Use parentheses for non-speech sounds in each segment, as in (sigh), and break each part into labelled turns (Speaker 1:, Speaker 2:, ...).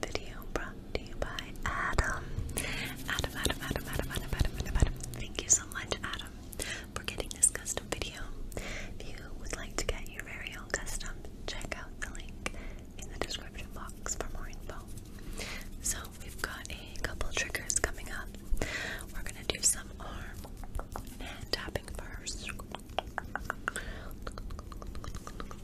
Speaker 1: video brought to you by Adam, Adam, Adam, Adam, Adam, Adam, Adam, Adam. Thank you so much, Adam, for getting this custom video. If you would like to get your very own custom, check out the link in the description box for more info. So we've got a couple triggers coming up. We're gonna do some arm and tapping first.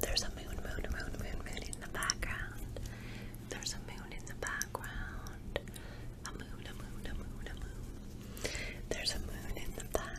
Speaker 1: There's a moon, moon, moon, moon, moon in the background. There's a moon in the background. A moon, a moon, a moon, a moon. There's a moon in the background.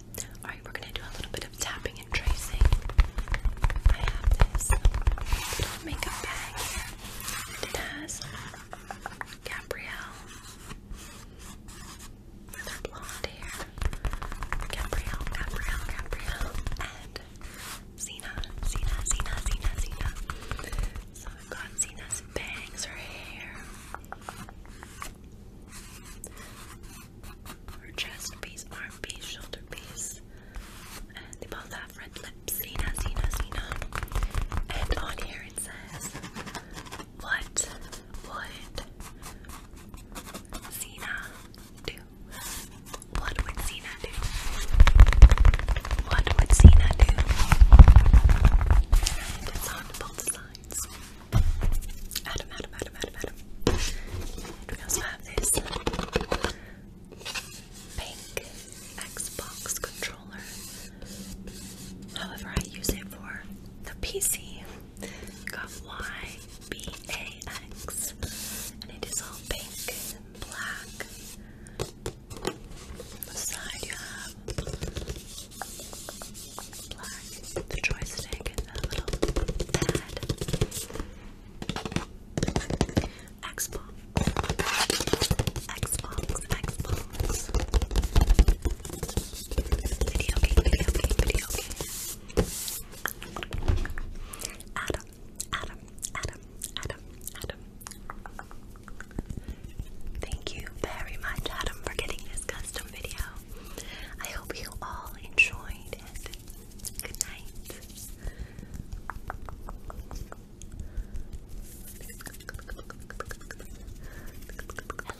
Speaker 1: Alright, we're gonna do a little bit of tapping and tracing. I have this makeup bag here. Gabrielle with her blonde hair. Gabrielle, Gabrielle, Gabrielle, and Zena, Zena, Zena, Zena, Zena. So I've got Zena's bangs, her hair chest piece, arm piece, shoulder piece, and they both have red lips. Zena, Zena, Zena. And on here it says, What would Zena do? What would Zena do? What would Zena do? it's on both sides. Adam, Adam, Adam, Adam, Adam. And we this pink Xbox controller. However, I use it for the PC. You and it is all pink and black. On the side you have black, the joystick, and the little pad. Xbox. Xbox, Xbox. Video game, video game, video game. Adam, Adam, Adam, Adam, Adam. Thank you very much, Adam, for getting this custom video. I hope you all enjoyed it. Good night.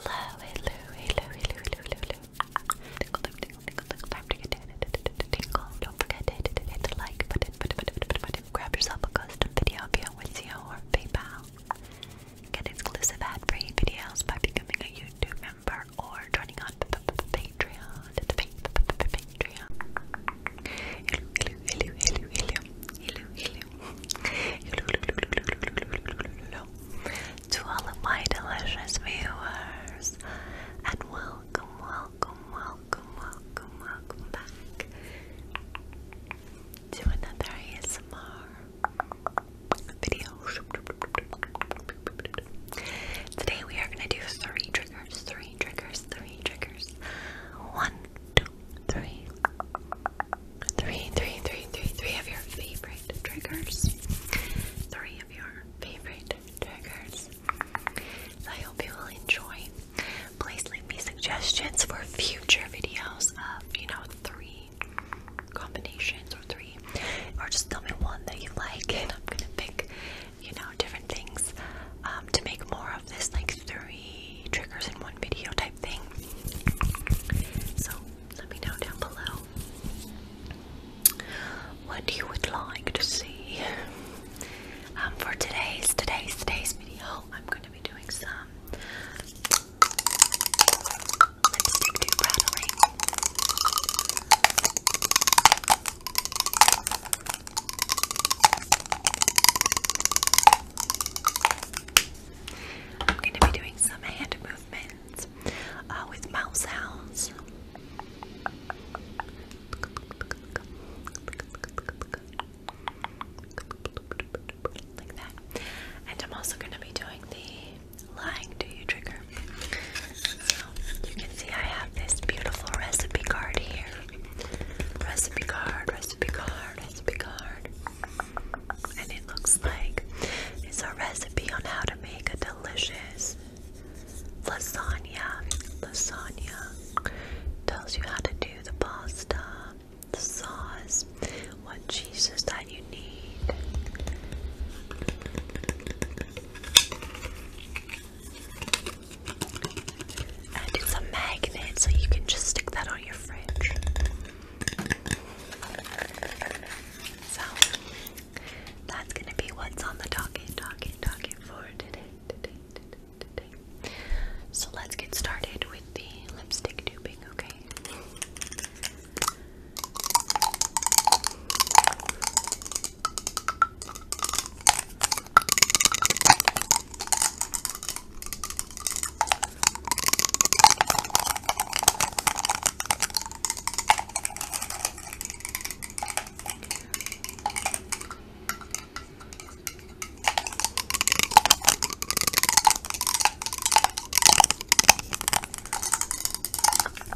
Speaker 1: Hello, hello, hello, hello, hello, hello, hello. Tingle, time, tingle, time to get in. Tingle. Don't forget to hit the like button, button, button, button, button. Grab yourself a custom video via Wizio or PayPal. Get exclusive ad-free videos by becoming a YouTube member or joining on Patreon. Patreon. to all of my delicious viewers, and welcome, welcome, welcome, welcome, welcome back to another ASMR video. Today we are gonna do three triggers, three triggers, three triggers. One, two, three. Three, three, three, three, three of your favorite triggers. Three of your favorite triggers. I hope you will enjoy. Please leave me suggestions for future videos of, you know, three combinations three, or just tell me one that you like, and I'm gonna pick, you know, different things um, to make more of this like three triggers in one video type thing. So let me know down below what you would like to see. Um, for today's today's today's video, I'm going to be doing some lipstick rattling. I'm going to be doing some hand movements uh, with mouth sounds. Like that. And I'm also going to be doing the lying do you trigger you can see I have this beautiful recipe card here. Recipe card, recipe card, recipe card. And it looks like it's a recipe on how to make a delicious lasagna. Lasagna tells you how to do the pasta, the sauce, what cheeses that you need. And it's a magnet, so you can just stick that on your fridge. So that's gonna be what's on the docket, docket, docket for today, today, today, So let's get started with the lipstick tubing, okay?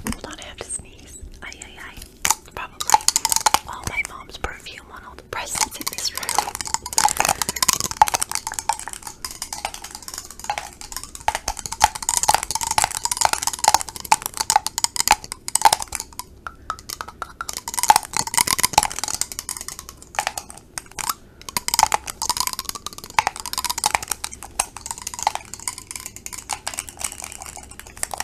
Speaker 1: Hold on, I have to sneeze. Ay, ay, ay probably all my mom's perfume on all the presents in this room.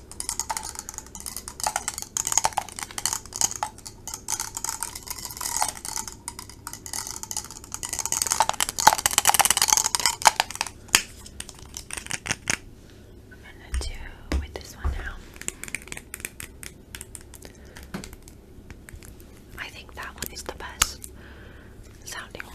Speaker 1: I'm gonna do with this one now. I think that one is the best sounding one.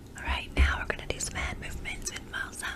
Speaker 2: Alright, now we're gonna do some hand movements with mouth sounds.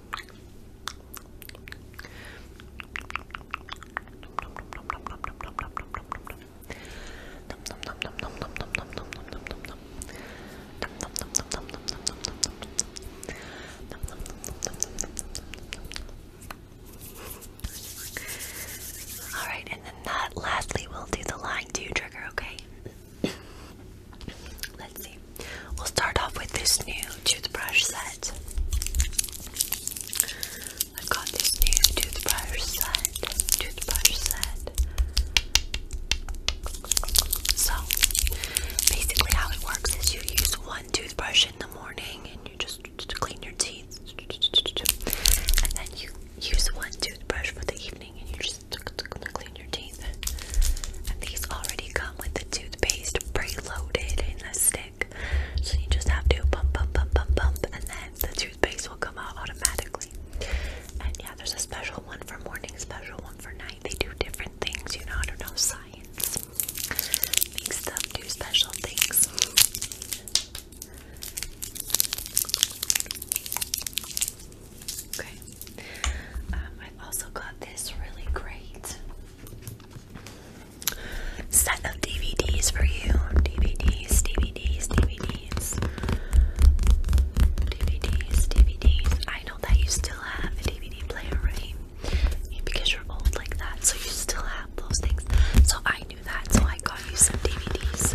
Speaker 1: All right, and then that lastly we will do the line to trigger, okay? (coughs) let's see. We'll start off with this new toothbrush set. I've got this new toothbrush set. Toothbrush set. So, basically, how it works is you use one toothbrush in the morning and you just clean your teeth, and then you use one toothbrush for the evening and you just clean your teeth. And these already come with the toothpaste preloaded in a stick. So you just have to pump, pump, pump, pump, pump, and then the toothpaste will come out automatically. And yeah, there's a special one for morning, special one for night. They do different things, you know, I don't know, science. Makes them do special things. Okay. Um, I also got this really great set of DVDs for you. DVDs, DVDs, DVDs. DVDs, DVDs. I know that you still have a DVD player, right? Because you're old like that, so you still have those things. So I knew that, so I got you some DVDs.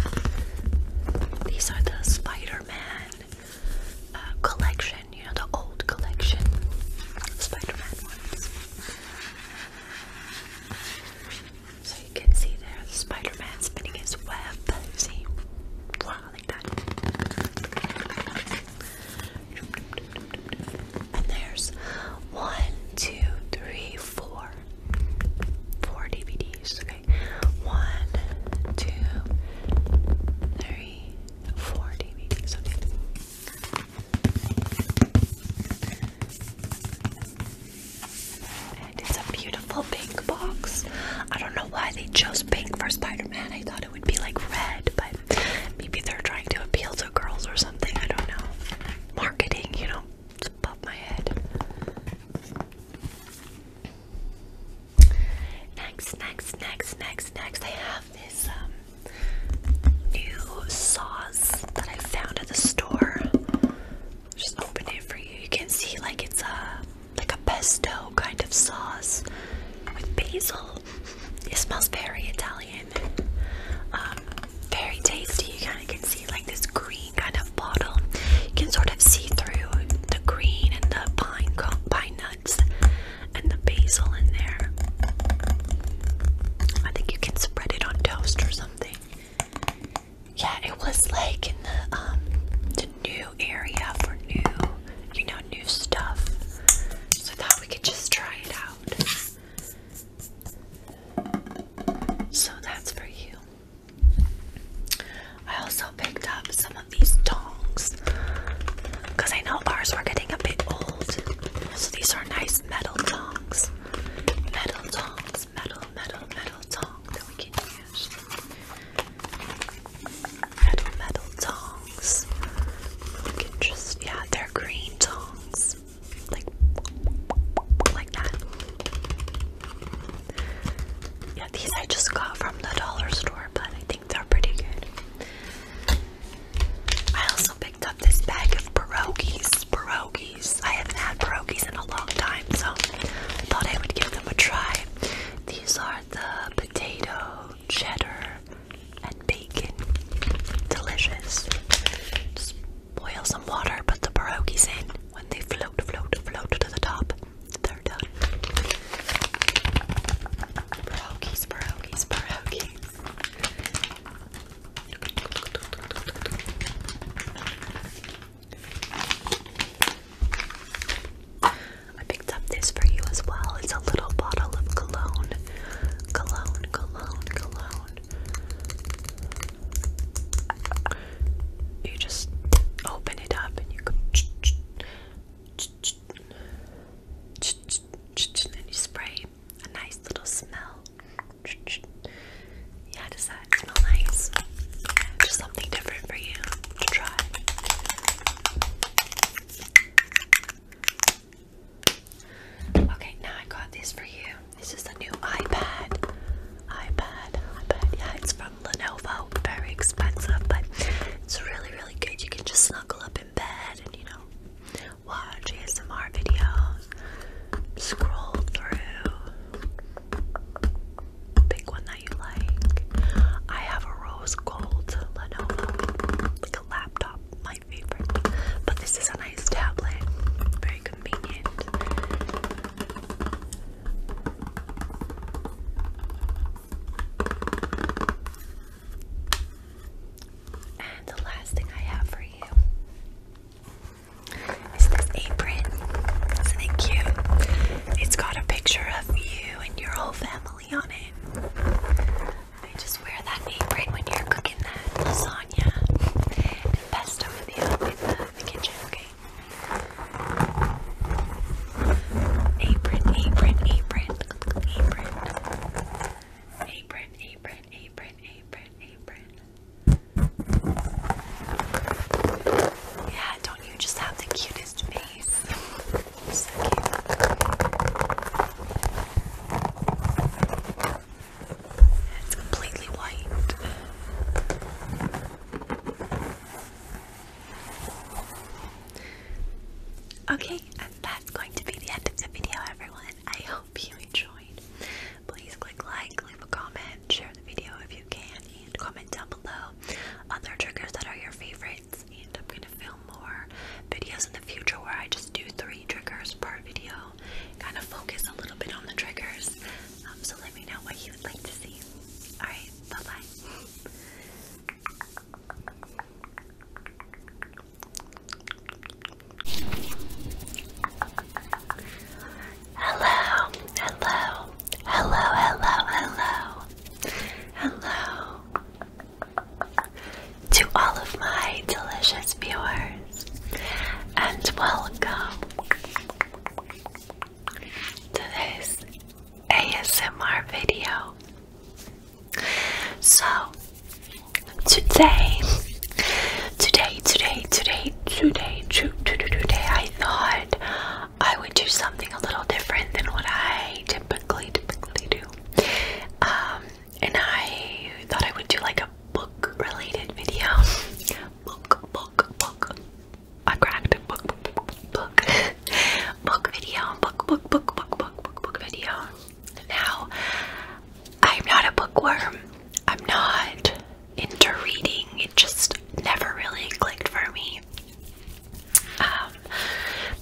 Speaker 1: These are the Spider Man uh, collection you know, the old collection Spider-Man ones. So you can see there Spider-Man spinning his web. See? Wow, like And there's one, two, DVDs. Okay. One, two, three, four DVDs. Okay it's a beautiful pink box. I don't know why they chose pink for Spider-Man. I thought it would be like red, but maybe they're trying to appeal to girls or something. I don't know. Marketing, you know, it's my head. Next, next, next, next, next. I have this um, new sauce that I found at the store. Just open it for you. You can see like it's a like a pesto kind of sauce with basil. It smells very Italian. Um, very tasty. You kind of can see like this green kind of bottle. You can sort of see through the green and the pine pine and the basil in there. I think you can spread it on toast or something. Yeah, it was like in the um, the new area for new, you know, new stuff. So I thought we could just try it out. So that's for you. I also picked up some of these tongs bars. Because I know bars were getting a bit old. So these are nice metal tongs. Metal tongs, metal, metal, metal tongs that we can use. Metal, metal tongs. We can just, yeah, they're green tongs. Like, like that. Yeah, these I just got from the dollar store, but I they're pretty good. I also picked up this bag of pierogies. Pierogies. I haven't had pierogies in a long time, so I thought I would give them a try. These are the potato, cheddar, and bacon. Delicious. boil some water, put the pierogies in. When they float, float, float to the top, they're done. Pierogies, pierogies, pierogies. I picked up this for you as well. It's a little bottle of cologne. Cologne, cologne, cologne. You just open it up and you go (tsk) (tsk) (tsk) and you spray a nice little smell. Yeah, does that smell nice? Just something different for you to try. Okay, now I got these for you. This is the new iPad. iPad, iPad. Yeah, it's from Lenovo. Very expensive, but it's really, really good. You can just snuggle up in bed and, you know, watch ASMR videos, scroll through, pick one that you like. I have a rose gold Lenovo, like a laptop, my favorite. But this is a nice tablet, very convenient. And the last thing I have for you is this apron. Isn't it It's got a picture of you and your whole family on it. I just wear that apron when you're cooking that lasagna and pesto in the, in the kitchen, okay? Apron, apron, apron, apron, apron, apron, yeah, don't you just have the cutest face? It's completely white. Okay, and that's going to be the end of the video, everyone. I hope you enjoyed. Please click like, leave a comment, share the video if you can, and comment down below other triggers that are your favorites. And I'm gonna film more videos in the future where I just do three triggers per video, kind of focus a little bit on the triggers. Um, so let me know what you would like to see. Alright, bye bye. Hello, hello, hello, hello, hello, hello to all of my delicious viewers, and welcome to this ASMR video. So today, today, today, today, today, today, today, I thought I would do something a little different than what I typically, typically do. Um, and I thought I would do like a book-related video. Book, book, book. I cracked a book, book, book, book, book video, book, book, book, book, book, book, book video. Now, I'm not a bookworm. I'm not into reading. It just never really clicked for me. Um,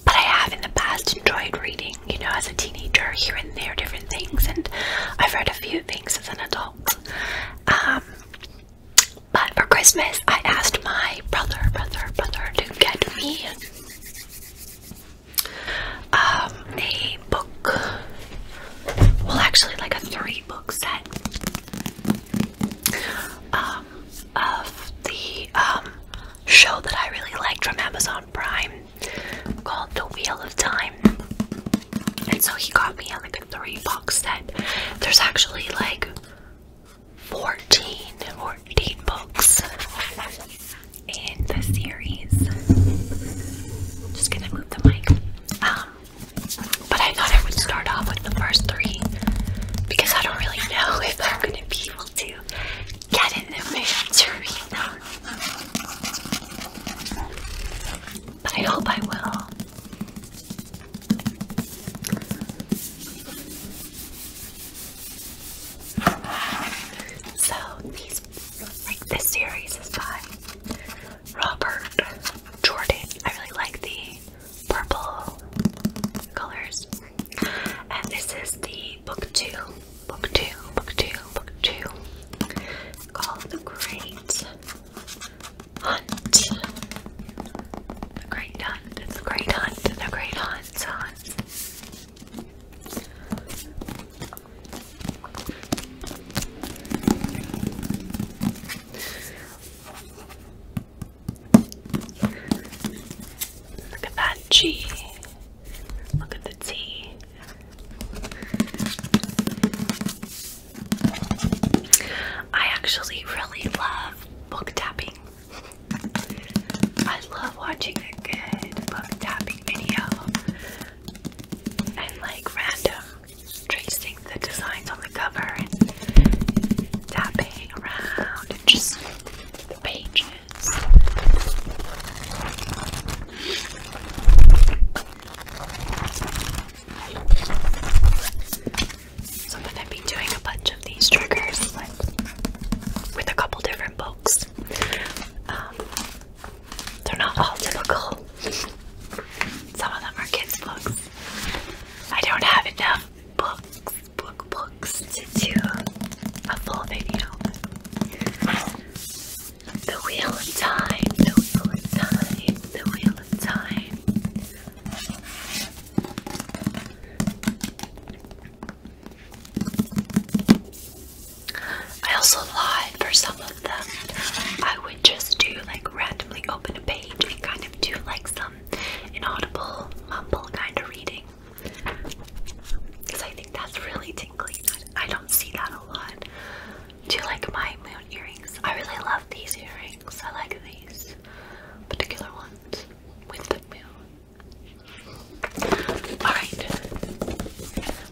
Speaker 1: but I have in the past enjoyed reading, you know, as a teenager, here and there, different things, and I've read a few things as an adult. Um, but for Christmas, I asked my brother, brother, brother to get me um, a book. Well, actually, like a three book set um, of the um, show that I really liked from Amazon Prime called The Wheel of Time. And so he got me like a three book set. There's actually like 14 books in the series. Just gonna move the mic. Um, but I thought I would start off with the first three because I don't really know (laughs) if I'm gonna be able to get in the mood But I hope I will. So these this series is by Robert Jordan. I really like the purple colors. And this is the book two, book two, book two, book two, called The Great Hunt. The Great Hunt, The Great Hunt, The Great Hunt, Hunt. Look at that G. Look at the T. I actually really love book tapping. I love watching a good book tapping video and like random tracing the designs on the cover and tapping around and just the pages. So I'm going doing a bunch of these triggers with a couple different books. Um, they're not all typical. Some of them are kids' books. I don't have enough books, book books to do a full video. The Wheel of Time, the Wheel of Time, the Wheel of Time. I also lied for some of them. I would just do like randomly open a page and kind of do like some inaudible mumble kind of reading. Because I think that's really tinkly. I don't see that a lot. Do you like my moon earrings? I really love these earrings. I like these particular ones with the moon. Alright.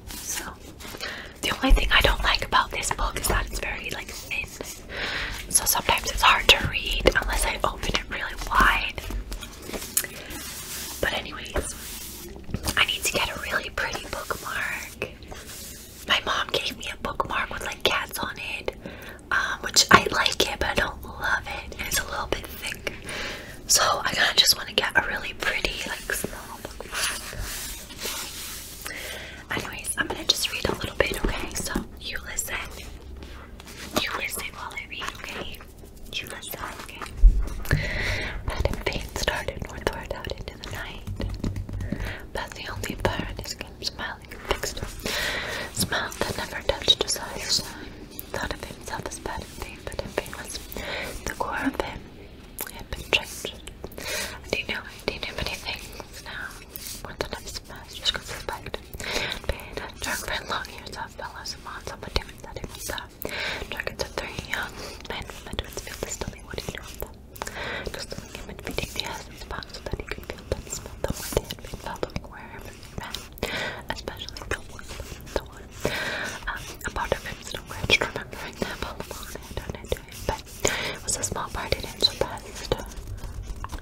Speaker 1: So the only thing I don't like about this book is that it's very like thin. So sometimes it's hard to read unless I open it really wide. But anyways, I need to get a really pretty bookmark. My mom gave me a bookmark with like cats on it, um, which I like it, but I don't love it. it's a little bit thick. So I kind of just want to get a really pretty, like, small bookmark. Anyways, I'm gonna just read a little bit, okay? So you listen. You listen while I read, okay? You listen, okay? Madam pain started northward out into the night. But the only Baroness came smiling and fixed her. Smile that never touched his eyes. Thought of himself as bad Madam Fane, but Fane was the core of him have been changed. Do you know, do you know many now? More than I've just could suspect. Paid drunk for long years of fellows and mods on um, the team that it three young men from the Twinsfield distilling what he knew of them. Distilling him and beating the ass in so that he could feel them smell the wood he had been felt everywhere he ran. Especially the wood, on. Um, a part of him still cringed remembering that Palomon had done it to him, but it was a small part it didn't surpass.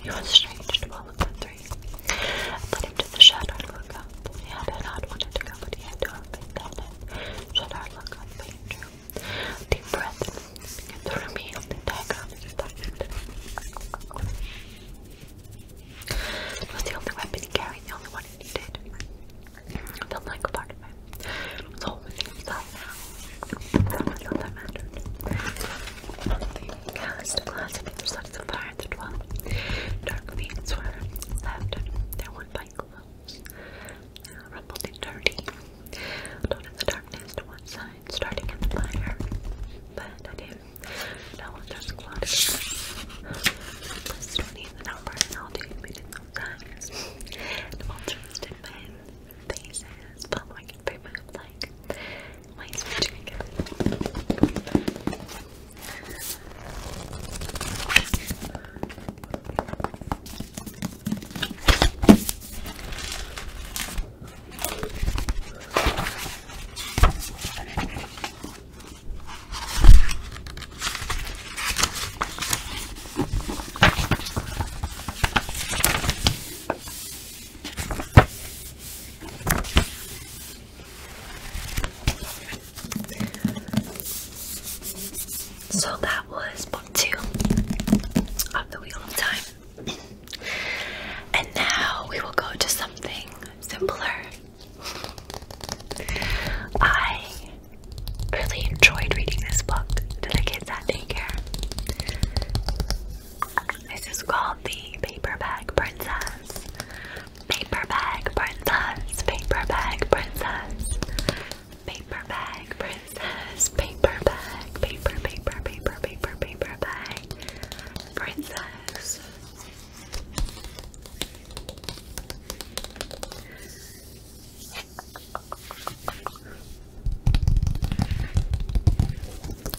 Speaker 1: He was strange to all of the three. to the shadow to look up. He had not wanted to go, but he had to have picked it. Shadow look up, but he Deep breath, and began to the diagram as he started. was the only weapon he carried, the only one he needed. The like part It's all within now. That's not that mattered. The cast classic reflects the fire the 12. Dark meat sweater. Left. There one by clothes. Uh, dirty. do in the darkness to one side, starting in the fire. But I did. No one just clotted. This don't need the number I'll do sometimes. And i faces, but I can pretty much like my so that was book two of the Wheel of Time. and now we will go to something simpler. I really enjoyed reading this book to the kids at daycare. This is called The Paperback Princess. Paperback Princess, Paperback Princess, Paperback Princess, Paperback, Paper, Paper, Paper, Paper, Paperback Princess.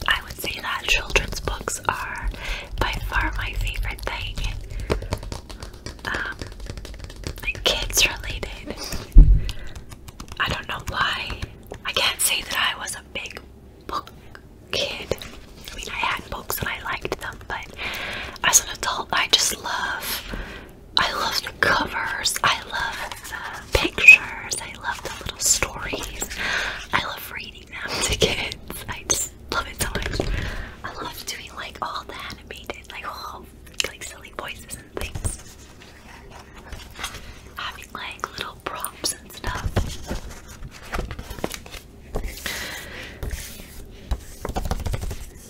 Speaker 1: I would say that children's books are by far my favorite thing. Um, kids related. I don't know why. I can't say that I was a big book kid. I mean, I had books and I liked them, but as an adult, I just love I love the covers. I love the pictures. I love the little stories. I love reading them to kids. I just love it so much. I love doing like all the animated, like all like silly voices and things. Having like little props and stuff.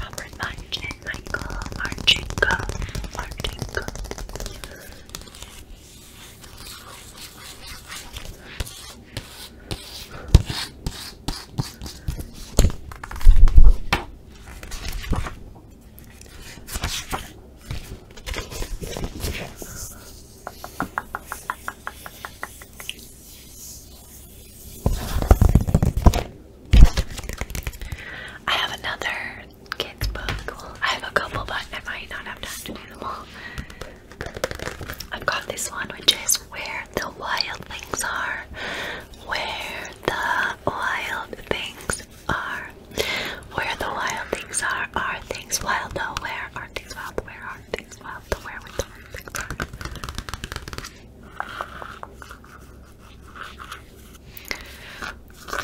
Speaker 1: Robert Martin and Michael Marchenko. Marchenko. I have another kids book. I have a couple, but I might not have time to do them all. I've got this one, which is Where the Wild Things Are. Where the Wild Things are. Where the wild things are, are things wild Where are things wild? Where are things wild? The where with the things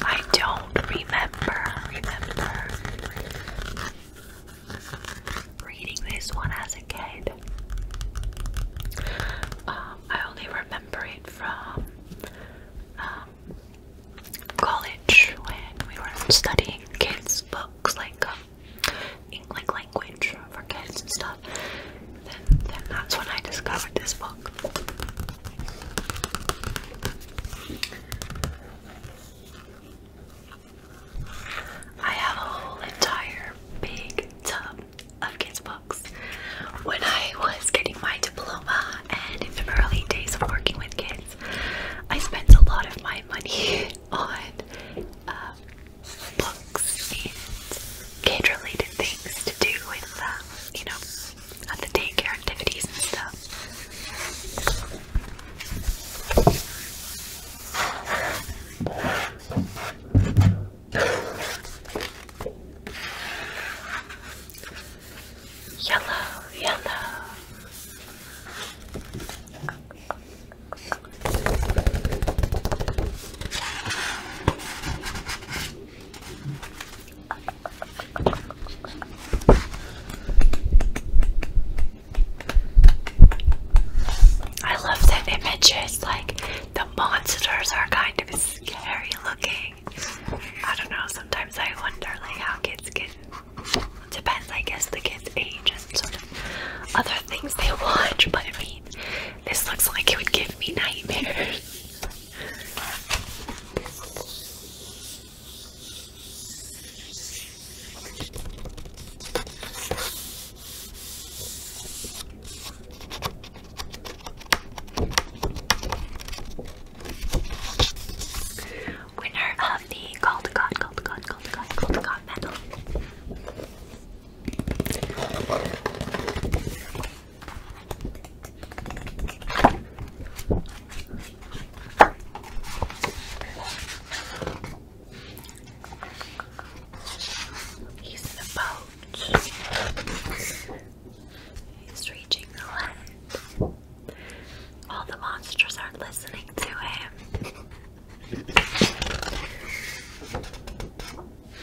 Speaker 1: I don't remember, remember reading this one as a kid. Um, I only remember it from um, college when we were studying kids' books like um, English language for kids and stuff. Then, then that's when I discovered this book. I have a whole entire big tub of kids' books. When I was getting my diploma and in the early days of working with kids, I spend a lot of my money (laughs) on um, books and kid-related things to do with, uh, you know, at the daycare activities and stuff. Yellow, yellow. I love that image. like the monsters are kind of scary looking. I don't know, sometimes I wonder like how kids get depends I guess the kids age and sort of other things they watch, but I mean this looks like it would give me nightmares winner of the Gold God, Gold God, Gold God, Gold God medal. He's in the boat. He's reaching the land. All the monsters are listening to him.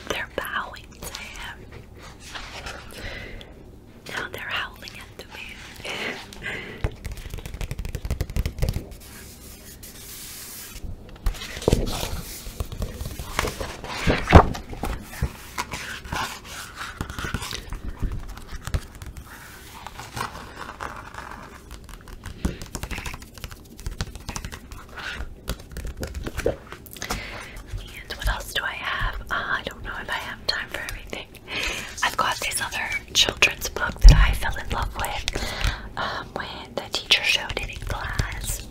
Speaker 1: They're bowing to him. Now they're howling at the and what else do I have? Ah, I don't know if I have time for everything. I've got this other children's book that I fell in love with um, when the teacher showed it in class.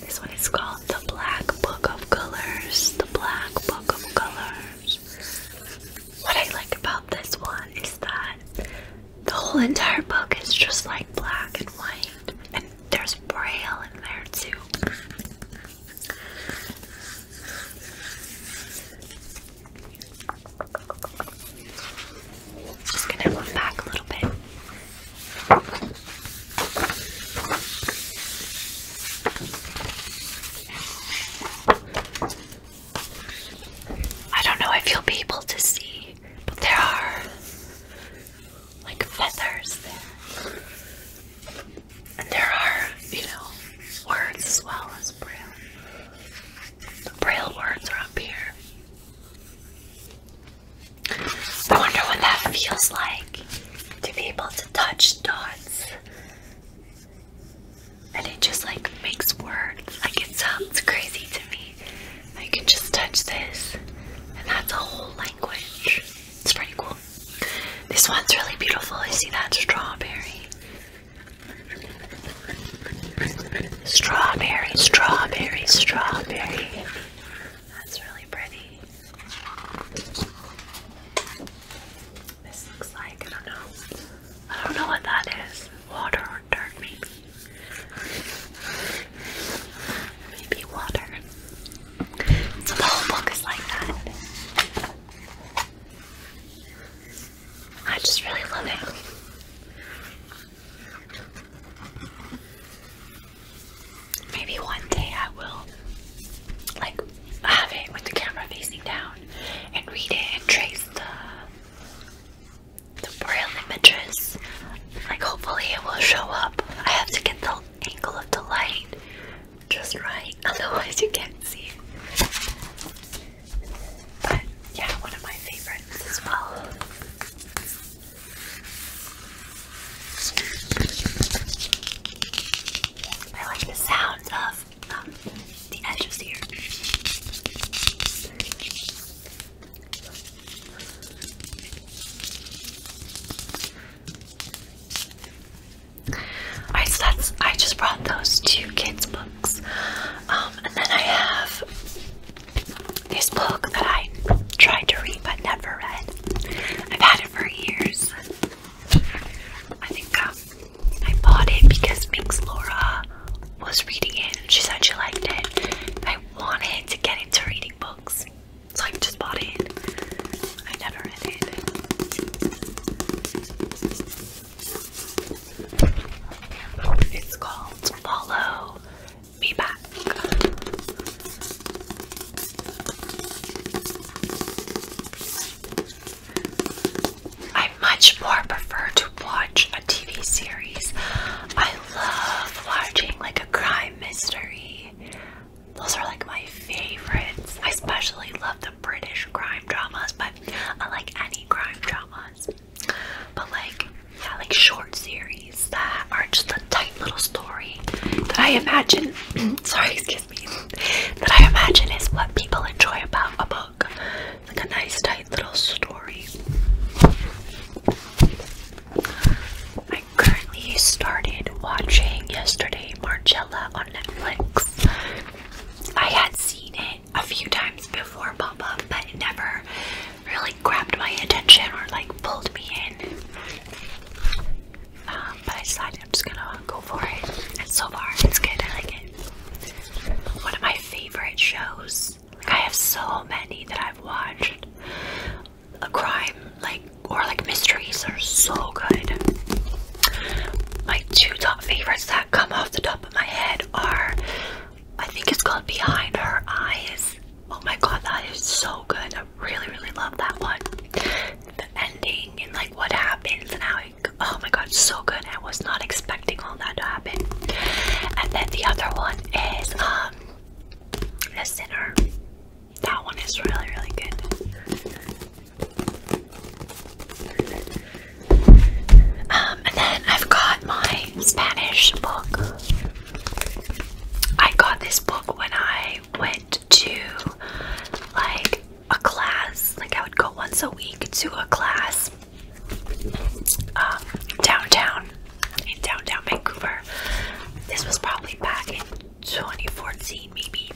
Speaker 1: This one is called the Black Book of Colors. The Black Book of Colors. What I like about this one is that the whole entire book is just like black and white, and there's braille in there too. Just gonna move back a little bit. I don't know if you'll be able to see, but there are like feathers there. And there are, you know, words as well as braille. The braille words are up here. I wonder what that feels like to be able to touch dots and it just like makes words. Like it sounds crazy to me. I can just touch this, and that's a whole language. It's pretty cool. This one's really beautiful. You see that strawberry? Strawberry, strawberry, strawberry. That's really pretty. This looks like, I don't know. I don't know what that is. Water or dirt, maybe. Maybe water. the whole book is like that. I just really love it. Maybe one day I will like have it with the camera facing down and read it and trace the the braille images. Like hopefully it will show up. I have to get the angle of the light just right, (laughs) otherwise you can't see it. But yeah, one of my favorites as well. I like the sound um, of the edges here. Alright, so I just brought those two kids' books. Um, and then I have this book that I tried to read but never read. I've had it for years. I think I bought it because Mix Laura was reading it and she said she liked it. I wanted to get into reading books, so I just bought it. I never read it. It's called Follow Me Back. I much more prefer to watch a TV series. I love watching like a crime mystery. Those are like my favorites. I especially love the British crime dramas, but I like any crime dramas. But like, yeah, like short series that are just a tight little story that I imagine. (clears throat) sorry, excuse that I imagine is what people enjoy about a book. like a nice, tight little story. I currently started watching yesterday Marcella on Netflix. I had seen it a few times before pop but it never really grabbed my attention or like pulled me in. Um, but I decided I'm just gonna go for it. And so far, it's good. I like it. One of my favorite shows. Like I have so many that I've watched. A crime, like or like mysteries, are so good. My two top favorites that come off the top of my head are, I think it's called Behind Her Eyes. Oh my god, that is so good. I really, really love that one. The ending and like what happens and how oh my god, so good. I was not expecting all that to happen. And then the other one is um The Sinner. That one is really, really good. Um, and then I've got my Spanish book. I got this book when I went to like a class. Like I would go once a week to a class um, downtown in downtown Vancouver. This was probably back in 2014, maybe.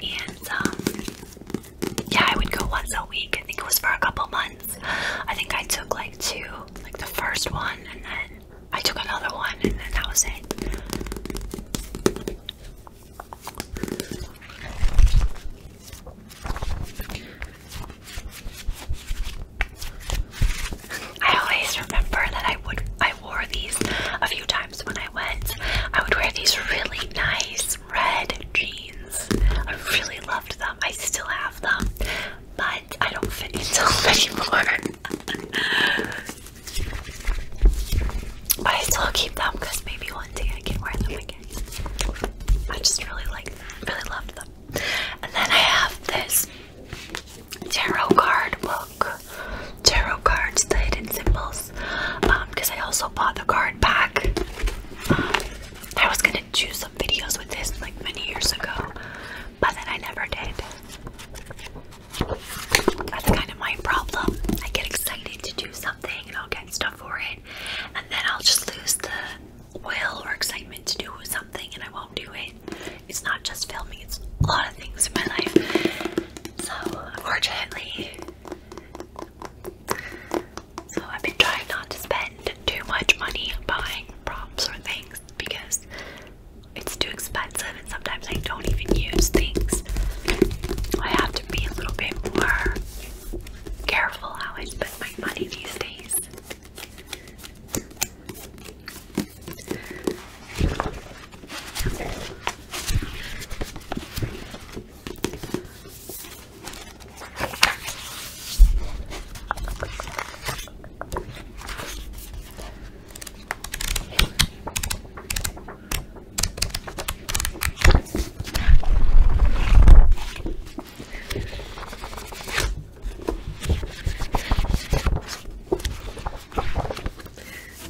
Speaker 1: And um, yeah, I would go once a week. I think it was for a couple months. I think I took like two, like the first one, and then I took another one, and then that was it. I always remember that I would I wore these a few times when I went. I would wear these really nice red jeans. I really loved them. I still have them, but I don't fit into them anymore. (laughs) I still keep them because maybe one day I can wear them again. I just really like them, really love them. And then I have this tarot card book. Tarot cards, the hidden symbols. Um, because I also bought the card pack. Um, I was gonna do some videos with this like many years ago, but then I never did. That's kind of my problem. I get excited to do something and I'll get stuff for it, and then I'll just lose the will or excitement to do something and I won't do it. It's not just filming, it's a lot of things in my life. So, unfortunately, so I've been trying not to spend too much money buying props or things because it's too expensive and sometimes I don't even use things. I have to be a little bit more careful how I spend my money these days.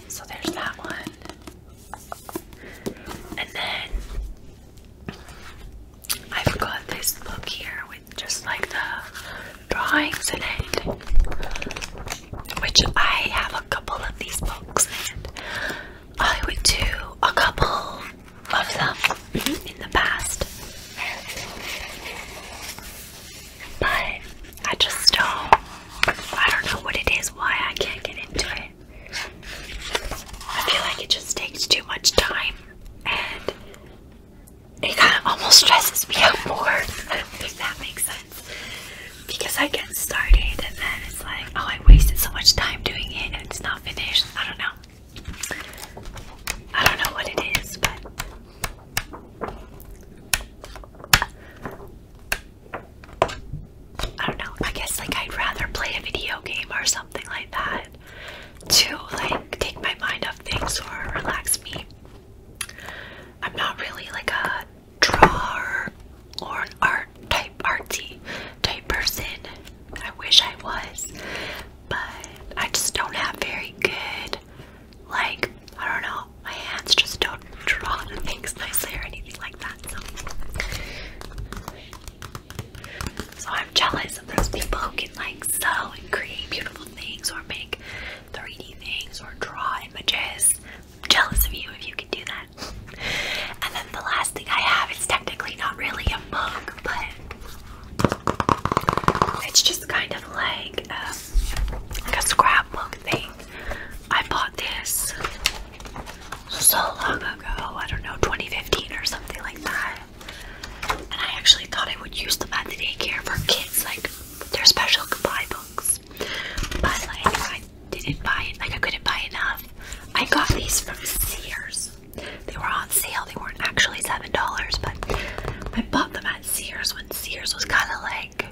Speaker 1: So there's that one. And then I've got this book here with just like the drawings in it which I have a couple of these books, and I would do a couple of them mm-hmm. in the past, but I just don't. I don't know what it is. Why I can't get into it. I feel like it just takes too much time, and it kind of almost stresses me out more. (laughs) If that makes sense because I get started and then it's like, oh, I wasted so much time doing it and it's not finished. I don't know. I don't know what it is, but I don't know. I guess like I'd rather play a video game or something like that to like take my mind off things or relax me. I'm not really like a Draw or an art type artsy type person. I wish I was, but I just don't have very good like I don't know, my hands just don't draw things nicely or anything like that. So so I'm jealous of those people who can like sew and create beautiful things or make 3D things or draw images. I'm jealous of you if you can do that. And then the last thing I have is technically not really a mug, but it's just kind of like a, um, like a scrapbook thing. I bought this so long ago, I don't know, 2015 or something like that. And I actually thought I would use them at the daycare for kids, like their special goodbye books. But like I didn't buy it, like I couldn't buy enough. I got these from Sears. They were on sale. They weren't actually seven dollars, but I bought them at Sears when Sears was kind of like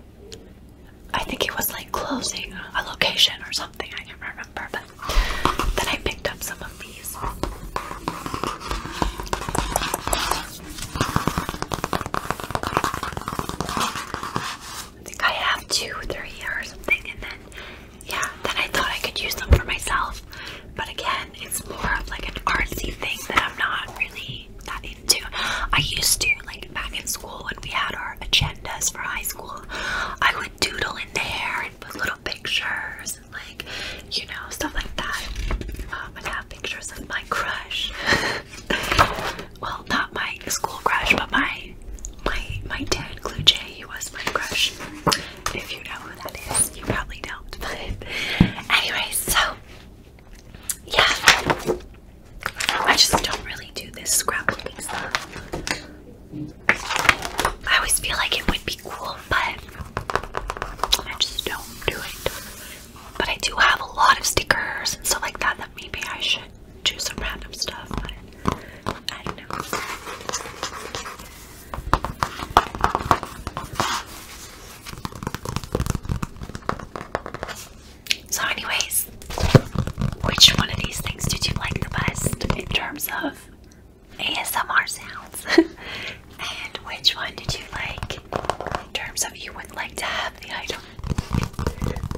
Speaker 1: I think it was like closing a location or something. I can't remember, but then I picked up some of these. I think I have two, three or something, and then yeah, then I thought I could use them for myself. But again, it's more of like an artsy thing that I'm not really that into. I used to, like back in school when we had our agendas for high school, I would doodle in there and put little pictures and like, you know, stuff like that. Um, I'd have pictures of my crush. (laughs) well, not my school crush, but my my my dad, Clue Jay, He was my crush. If you know who that is, you probably don't. But (laughs) anyway, so yeah, I just don't really do this scrapbooking stuff. I always feel like it would be cool, but I just don't do it. But I do have a lot of stickers and stuff like that that maybe I should choose some random stuff, but I don't know. So, anyways, which one of these things did you like the best in terms of ASMR sounds? (laughs) and which one did you like in terms of you would like to have the item?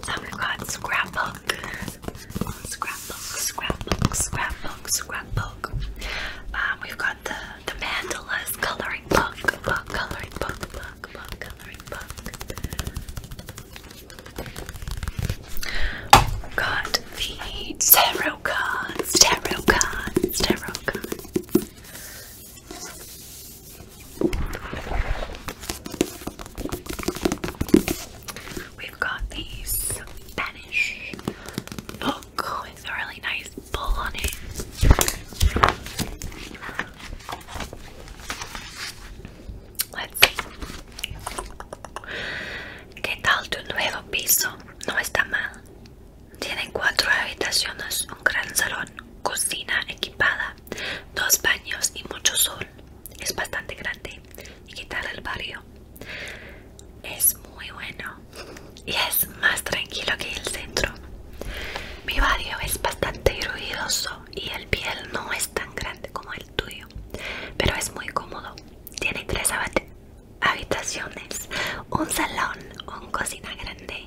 Speaker 1: So, we've got Scrapbook scrapbook. Scrapbook, scrapbook, scrapbook, scrapbook. Um, we've got the, the mandalas coloring book, coloring book, book, book, coloring book. We've got the tarot cards, tarot cards, tarot cards. We've got these Spanish look with a really nice bowl on it. Let's see. ¿Qué tal tu nuevo piso? No está mal. Tiene cuatro habitaciones, un gran salón, cocina equipada, dos baños y mucho sol. Es bastante grande. ¿Y qué el barrio? Es muy bueno y es más tranquilo que el centro. Mi barrio es bastante ruidoso y el piel no es tan grande como el tuyo, pero es muy cómodo. Tiene tres habitaciones, un salón, una cocina grande,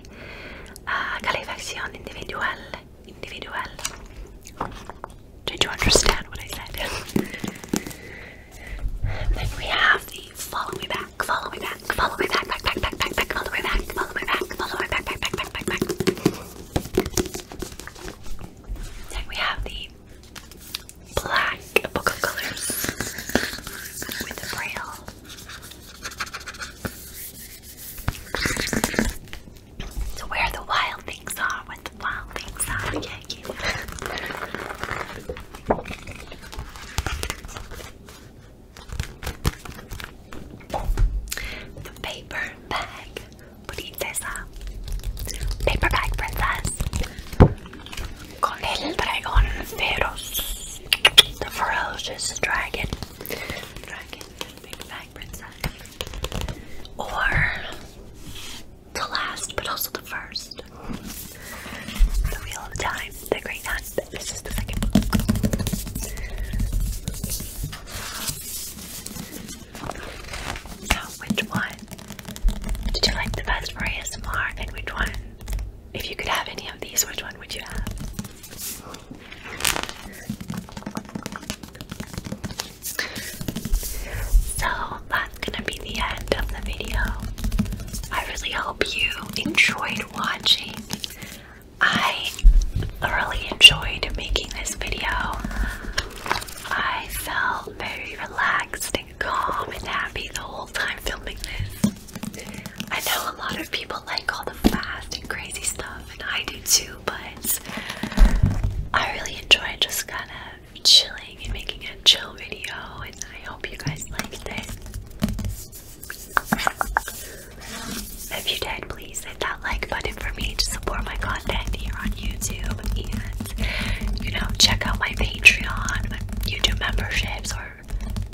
Speaker 1: ah, calefacción individual individual. Did you understand what I said? then we have the follow back, follow back, follow back, back, back, back, back, back, back, follow back, follow back, back, back, back, back, back. Then we have the black book of colors with the braille to where the wild things are, what the wild things are. The paper bag, princesa. Paper bag, princess. Con el dragón feroz. The ferocious dragon. Dragon, paper bag, princess or the last, but also the first. The Wheel of Time, The Great Hunt. This is the second book. So, which one did you like the best for ASMR, and which one, if you could have any of these, which one would you have? So that's gonna be the end of the video. I really hope you enjoyed watching. I thoroughly enjoyed making this video. I felt very relaxed and calm and happy the whole time filming this. I know a lot of people like all the fast and crazy stuff, and I do too, but I really enjoy just kind of chilling and making a chill video, and I hope you guys liked it. If you did, please hit that like button for me to support my content here on YouTube and, you know, check out my Patreon, my YouTube memberships, or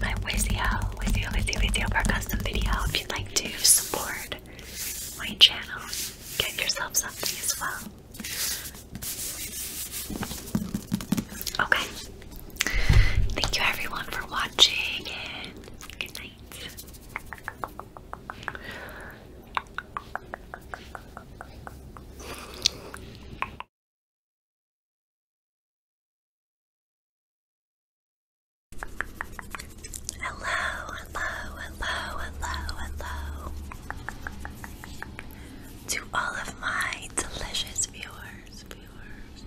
Speaker 1: my Wizio, Wizio, Wizio, Wizio for custom video if you'd like to support my channel. Get yourself something as well. Okay. Thank you everyone for watching good night. Hello, hello, hello, hello, hello to all of my delicious viewers, viewers,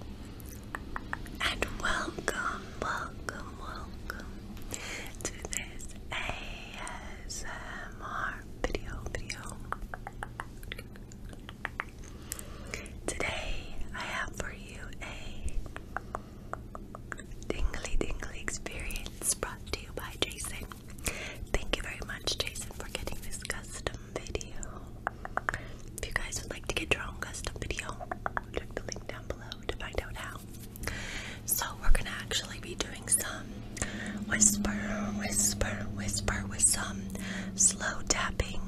Speaker 1: and welcome, welcome, welcome to this ASMR video, video. Today I have for you a Dingly Dingly Experience brought to you by Jason. Thank you very much, Jason, for getting this custom video. If you guys would like to get your own custom video, check the link down below to find out how. So, we're gonna actually be doing some whisper, whisper, whisper with some slow tapping,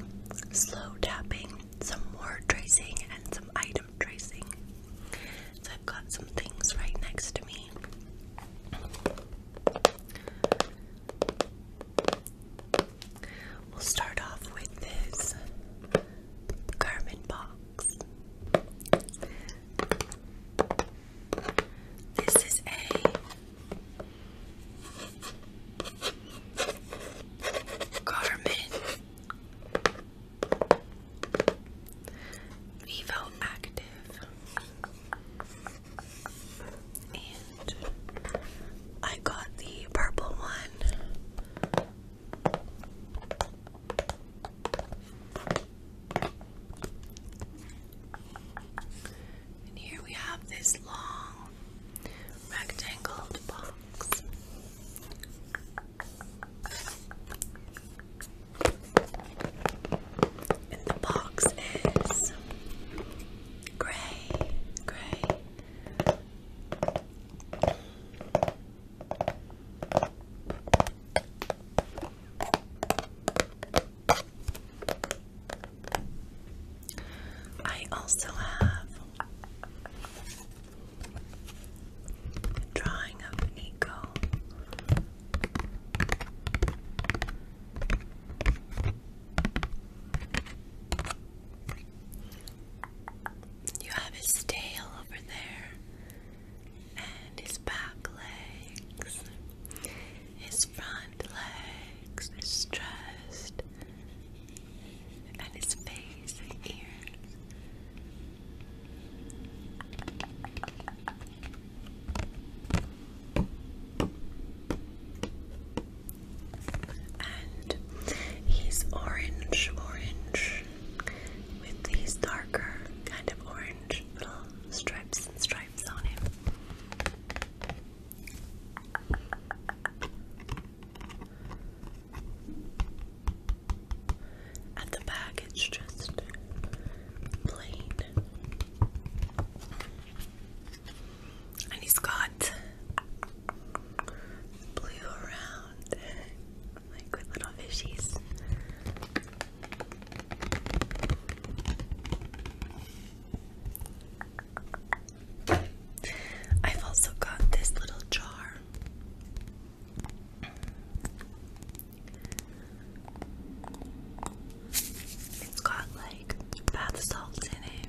Speaker 1: slow tapping, some word tracing, and some item tracing. So I've got some things right next to me. We'll start off with this Garmin box. This is a Garmin Vivo And I got the purple one. And here we have this long rectangled box. And the box is gray, gray. I also have a drawing of Nico you have his tail over there, and his back legs, his front legs, his chest, and his face and ears. And he's orange, orange, with these darker kind of orange stripes and stripes on him. At the back, it's just plain. And he's got blue around, like little fishies. I've also got this little jar. It's got like bath salts in it.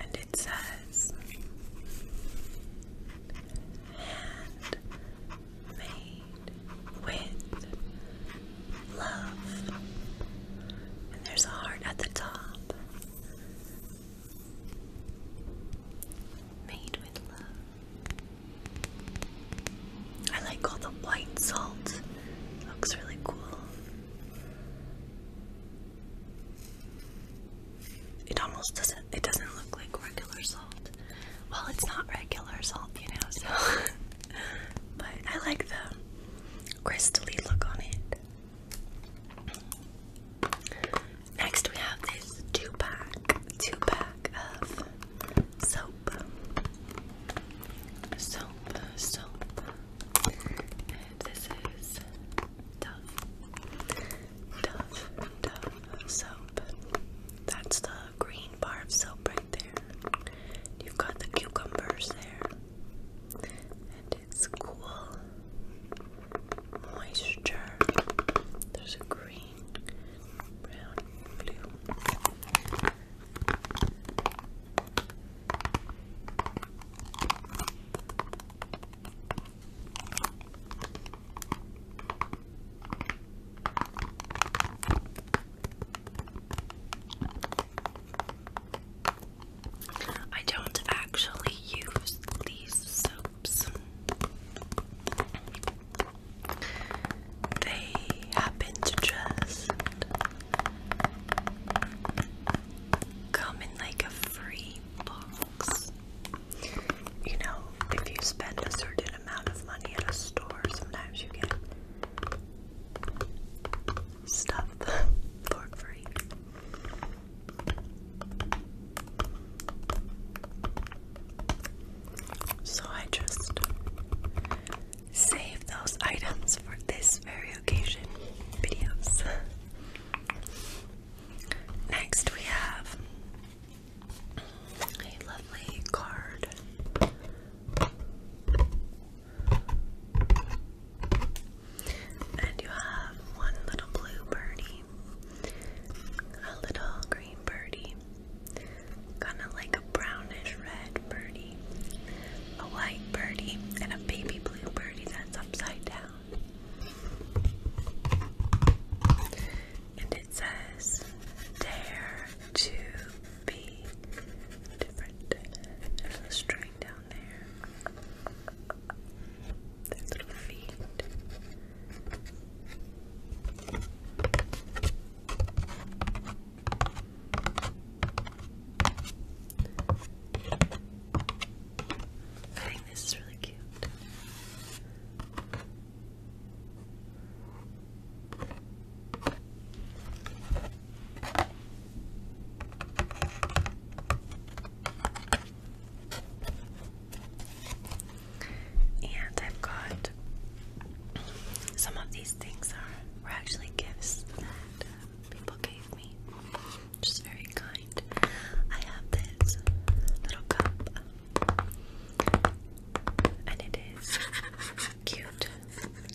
Speaker 2: And it says
Speaker 1: hand made with love. And there's a heart at the top. Made with love. I like all the white salt. looks really cool. It almost doesn't it doesn't look like regular salt. Well, it's not regular salt, you know, so (laughs) but I like the crystally look on it. Next, we have this two pack, two pack of soap, soap, soap. this is Dove, Dove, Dove soap. That's the green bar of soap right there. You've got the cucumbers there and it's cool moisture. There's a green, brown, blue. I don't actually use these soaps. They happen to just come in like a free box. You know, if you spend a certain amount of money at a store, sometimes you get stuff (laughs) for free. So I just save those items for this very occasion videos. Next we have a lovely card and you have one little blue birdie, a little green birdie, kind of like a brownish red birdie, a white birdie, and a baby blue birdie that's upside down. And it says, Dare to be different. There's a string down down there. little feet. I think this is really cute. And I've got some of these things are were actually gifts that um, people gave me, which very kind. I have this little cup, um, and it is cute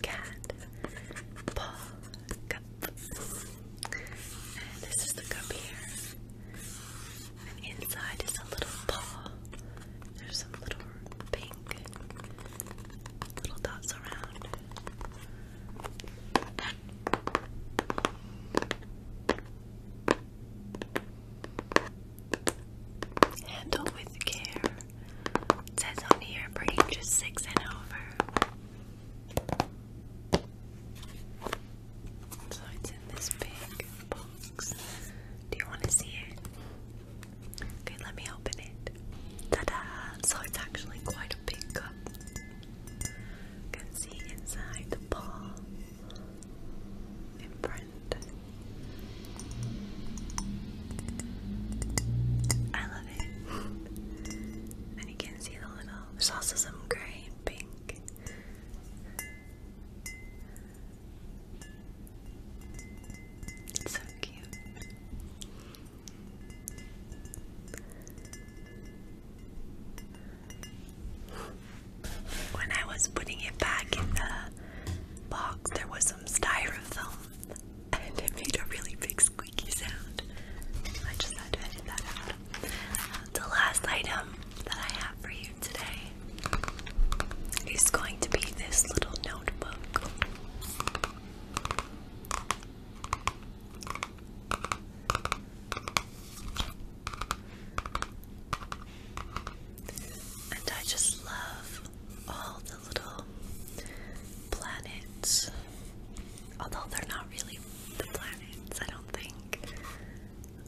Speaker 1: cat paw cup. And this is the cup here. inside is a little paw. There's some little pink little dots around. Handle with care. It says on here for ages six and over. So it's in this big box. Do you want to see it? Okay, let me open it. Ta-da! So it's actually quite a big cup. can see inside the ball in
Speaker 2: I love it you can see the little. There's also some gray and pink.
Speaker 1: It's so cute. When I was putting it back in the box, there was some styrofoam (laughs) and it made a really big squeak squeaky uh, The last item that I have for you today is going to be this little notebook. And I just love all the little planets Although they're not really the planets, I don't think.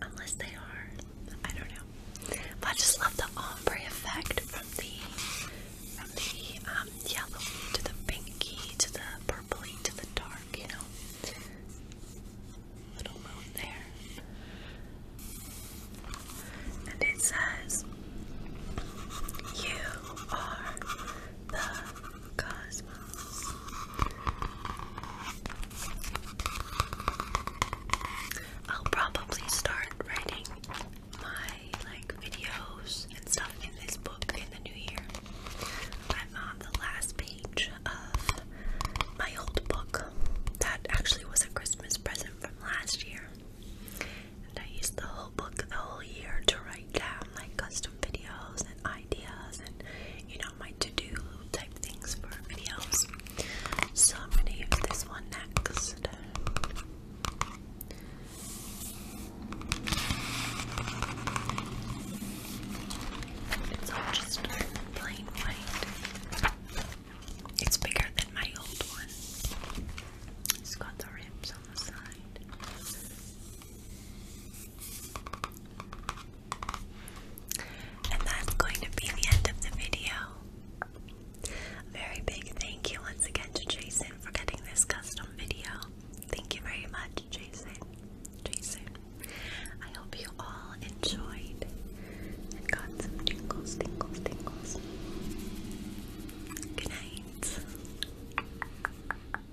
Speaker 1: Unless they are. I don't know. But I just love the ombre effect from the from the um yellow to the pinky to the purpley to the dark, you know. Little moon there. And it says you are the Cosmos. I'll probably start writing my like videos and stuff in this book in the new year. I'm on the last page of my old book that actually was a Christmas present from last year. And I used the whole book the whole year to write down like customers videos and ideas and you know my to-do type things for videos. So I'm gonna use this one next. It's just plain white. It's bigger than my old one. It's got the rims on the side. And that's going to be the end of the video. very big thank you once again to Jason for getting this custom video. Thank you very much, Jason. Jason. I hope you all enjoyed and got tingles, tingles, tingles. Good night. Hello,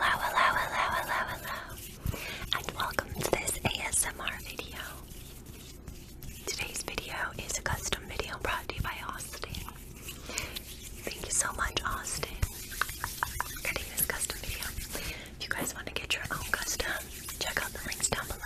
Speaker 1: hello, hello, hello, hello, and welcome to this ASMR video. Today's video is a custom video brought to you by Austin. Thank you so much, Austin, for getting this custom video. If you guys want to get your own custom, check out the links down below.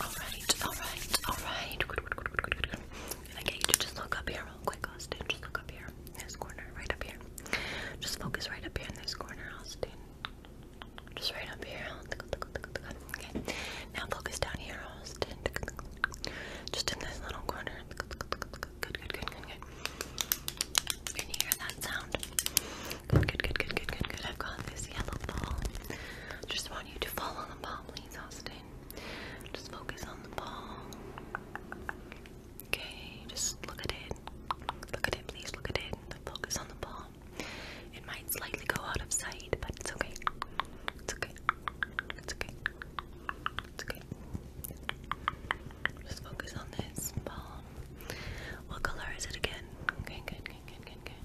Speaker 1: Alright, alright, alright. okay, just look up here real quick, Austin. Just look up here. this corner, right up here. Just focus right up here in this corner, Austin. Just right up here. Okay. Now focus down here, Austin. Just in this little corner. Good, good, good, good, Can you hear Good, good, good, good, good, good, good. I've got this yellow ball. Just want you to follow the ball, please, Austin. Just focus on the ball. Okay, just look at it. Look at it, please. Look at it. Focus on the ball. It might slightly go out of sight, but it's okay. It's okay. It's okay. It's okay. Just focus on this ball. What color is it again? Okay, good, good, good, good, good.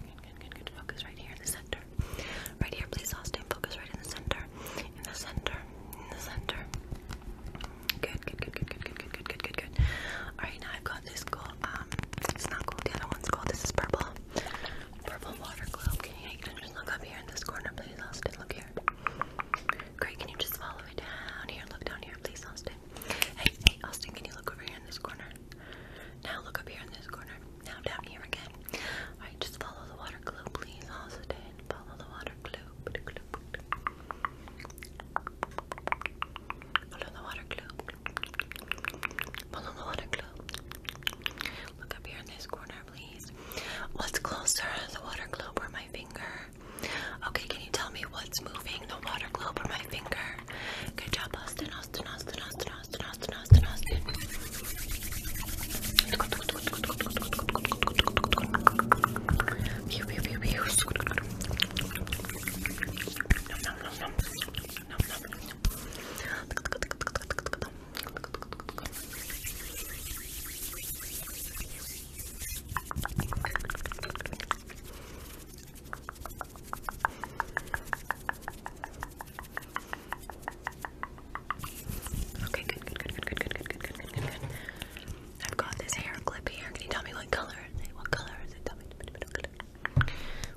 Speaker 1: Good, good, good, good. Focus right here in the center. Right here, please, Austin. Focus right in the center. In the center. In the center. Good, good, good, good, good, good, good, good, good, good, good. Alright, now I've got this gold. Um, it's not gold. The other one's gold. This is purple. Purple water glue. Okay, you can just look up here in this corner, please, Austin. Look here. Great, can you just follow it down here? Look down here, please, Austin. Hey, hey, Austin, can you look over here in this corner? Now look up here in this corner. Now down here again. Alright, just follow the water glow, please, Austin. Follow the water glow. Follow the water glow. Follow the water glow. Look up here in this corner, please. What's closer, the water globe or my finger? Okay, can you tell me what's moving? The water globe or my finger? Good job, Austin, Austin, Austin, Austin, Austin, Austin, Austin, Austin. Pew, pew, pew, pew. Okay, good, good, good, good, good, good, good, good, good, good, I've got this hair clip here. Can you tell me what color What color is it?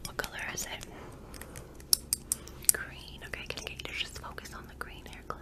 Speaker 1: What color is it? Green. Okay, can you just focus on the green hair clip?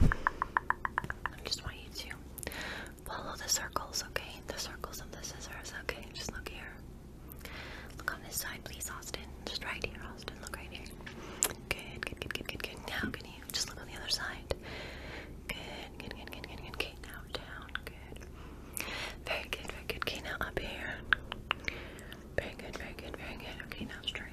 Speaker 1: I just want you to follow the circles, okay? The circles of the scissors, okay? Just look here. Look on this side, please, Austin. Just right here, Austin. Look right here. Good, good, good, good, good, good. Now, can you just look on the other side? Good, good, good, good, good, good. Okay, now down. Good. Very good, very good. Okay, now up here. Very good, very good, very good. Okay, now straight.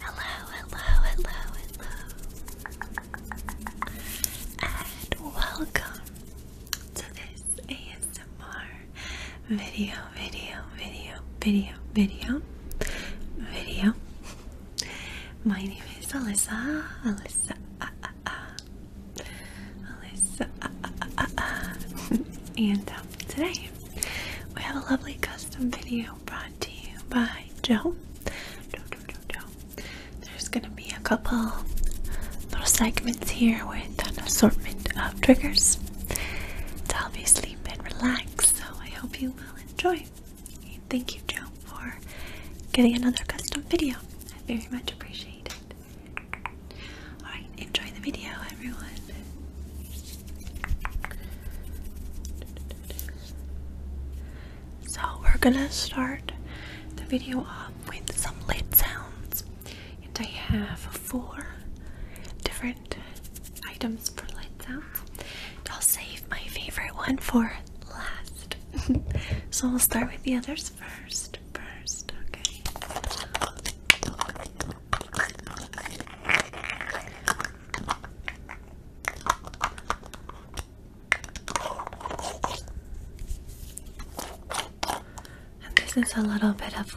Speaker 1: Hello, hello, hello, hello. And welcome to this ASMR video, video, video, video, video, video. My name is Alyssa, Alyssa, ah, ah, ah. (laughs) and um, today we have a lovely custom video brought to you by Joe. There's gonna be a couple little segments here with an assortment of triggers to help you sleep and relax. So I hope you will enjoy. thank you, Joe, for getting another custom video. I very much appreciate it. Alright, enjoy the video, everyone. So, we're gonna start the video off with some lid sounds, and I have four different items for lid sounds. I'll save my favorite one for last. (laughs) so, we'll start with the others first. First, okay. okay. And this is a little bit of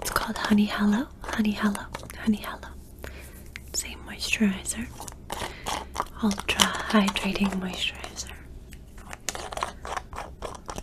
Speaker 1: it's called honey hello, honey hello, honey hello. Same moisturizer, ultra hydrating moisturizer.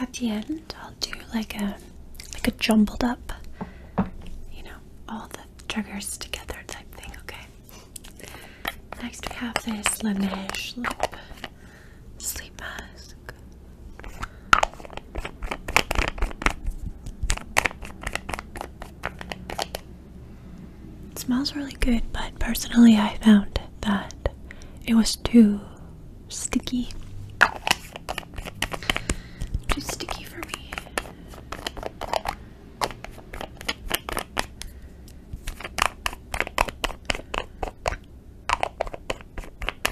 Speaker 1: At the end, I'll do like a like a jumbled up, you know, all the triggers together type thing. Okay. Next, we have this Laneige lip sleep mask smells really good, but personally, I found that it was too sticky. Too sticky for me.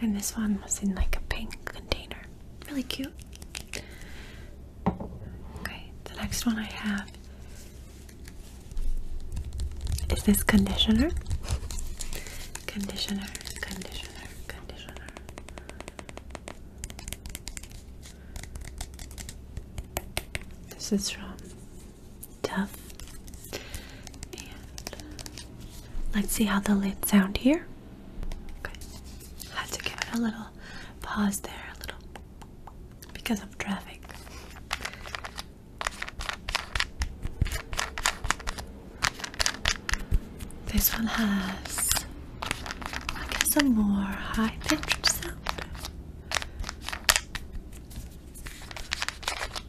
Speaker 1: And this one was in like a pink container. Really cute. Okay, the next one I have is this conditioner. Conditioner, conditioner, conditioner. This is from Dove let's see how the lid sound here. had to give it a little pause there, a little because of traffic. This one has, I guess, a more high pitched sound.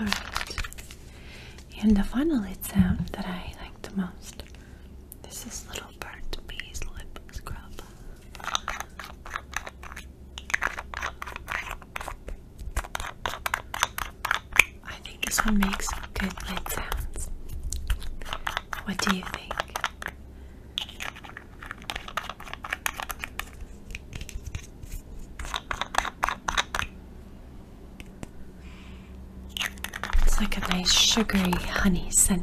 Speaker 1: All right, and the final lid sound that I like the most this is Little Burnt Bees Lip Scrub. I think this one makes good lid sounds. What do you think? It's like a nice sugary honey scent.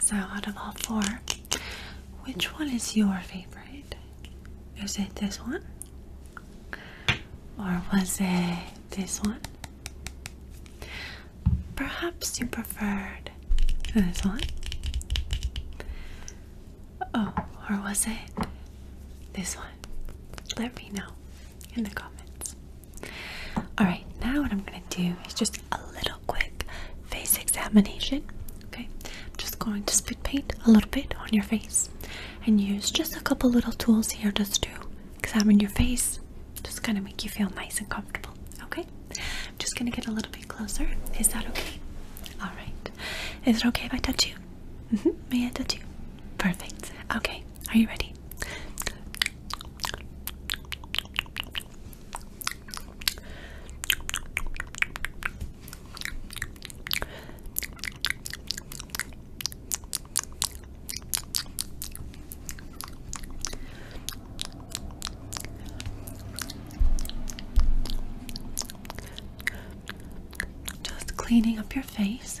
Speaker 1: So, out of all four, which one is your favorite? Is it this one? Or was it this one? Perhaps you preferred this one? Oh, or was it this one? Let me know in the comments. All right, now what I'm going to do is just a little quick face examination. Okay, I'm just going to spit paint a little bit on your face and use just a couple little tools here just to examine your face, just kind of make you feel nice and comfortable. Okay, I'm just going to get a little bit closer. Is that okay? All right, is it okay if I touch you? Mm-hmm, may I touch you? Perfect. Okay, are you ready? Just cleaning up your face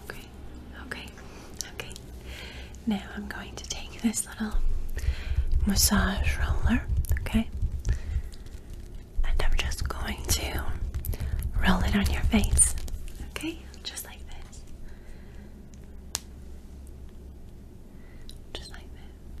Speaker 1: Okay. Okay. Okay. Now I'm going to take this little massage roller, okay? And I'm just going to roll it on your face, okay? Just like this. Just like this.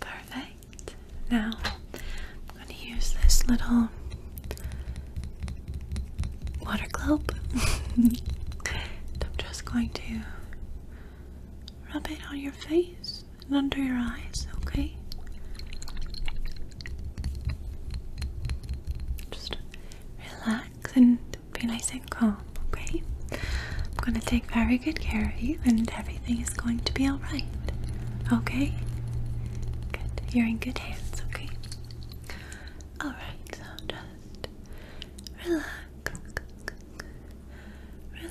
Speaker 1: Perfect. Now I'm going to use this little water globe. (laughs) I'm just going to rub it on your face and under your eyes, okay? Just relax and be nice and calm, okay? I'm going to take very good care of you and everything is going to be alright, okay? Good. You're in good hands, okay? Alright, so just relax. Relax.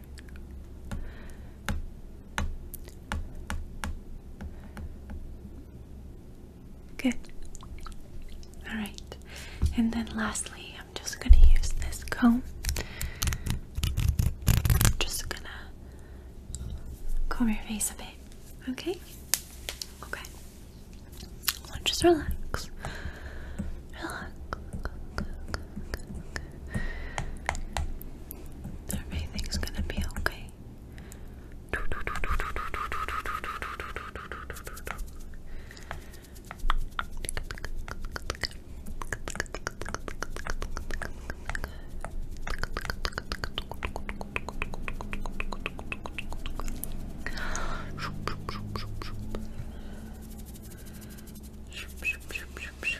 Speaker 1: Okay. All right. And then lastly, I'm just going to use this comb. I'm just going to comb your face a bit. Okay? Okay. just relax. Relax. Everything's gonna be okay. (laughs)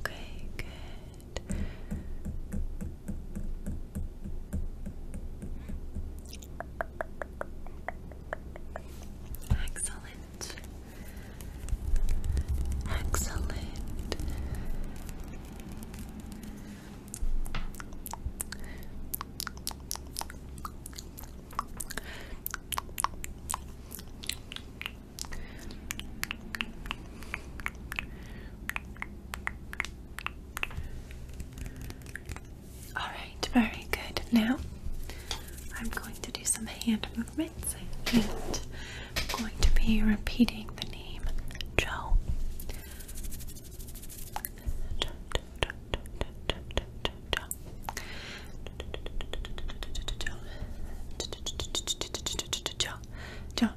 Speaker 1: Okay, good. Excellent. Excellent. Alright, very good. Now I'm going to do some hand movements and I'm going to be repeating the name Joe. Joe,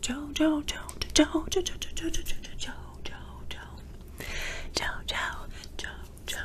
Speaker 1: Joe, Joe, Joe, Joe, Joe, Joe, Joe, Joe, Joe, Joe, Joe, Joe, Joe, Joe, Joe, Joe,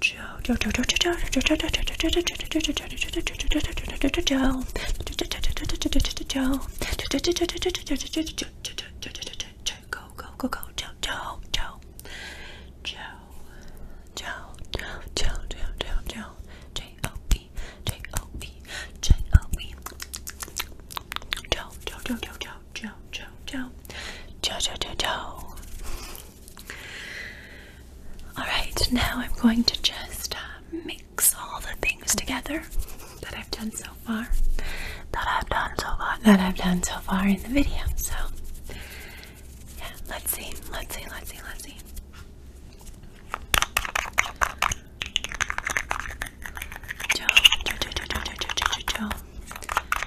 Speaker 1: Joe. Joe, Joe, Joe, Joe, Joe, Joe, Joe, Joe, Joe, Joe, Joe, Joe, Joe, Joe, Joe, Joe, ciao, ciao, ciao, ciao. Ciao, ciao, ciao, ciao. Alright, now I'm going to just uh, mix all the things together that I've done so far. That I've done so far, that I've done so far in the video. So, yeah, let's see, let's see, let's see, let's see. Joe, Joe, Joe, Joe, Joe, Joe, Joe, Joe, Joe.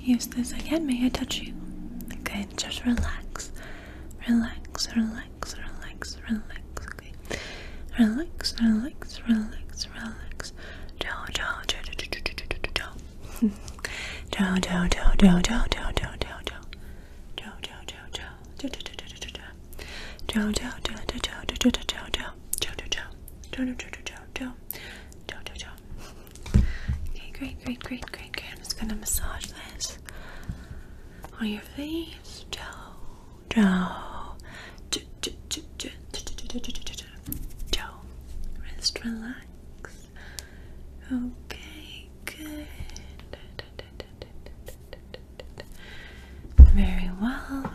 Speaker 1: Use this again. May I touch you? Okay, just relax. Relax, relax, relax, relax. Okay. Relax, relax, relax, relax. Down, down, down, down, down, down, down, down, down, down, down, down, down, down. Okay, great, great, great, great, great. I'm just gonna massage this on your face. Joe, Joe, Joe, Joe, Joe, Joe, Joe, Joe, Joe. Rest, relax. Okay, good. Very well.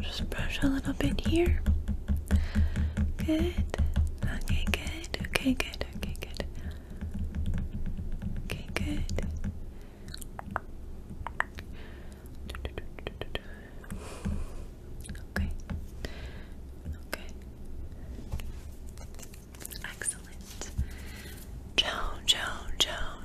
Speaker 1: Just brush a little bit here. Good. Okay, good. Okay, good. Okay, good. Okay, good. Okay. Okay. Excellent. Joan, Joan, Joan.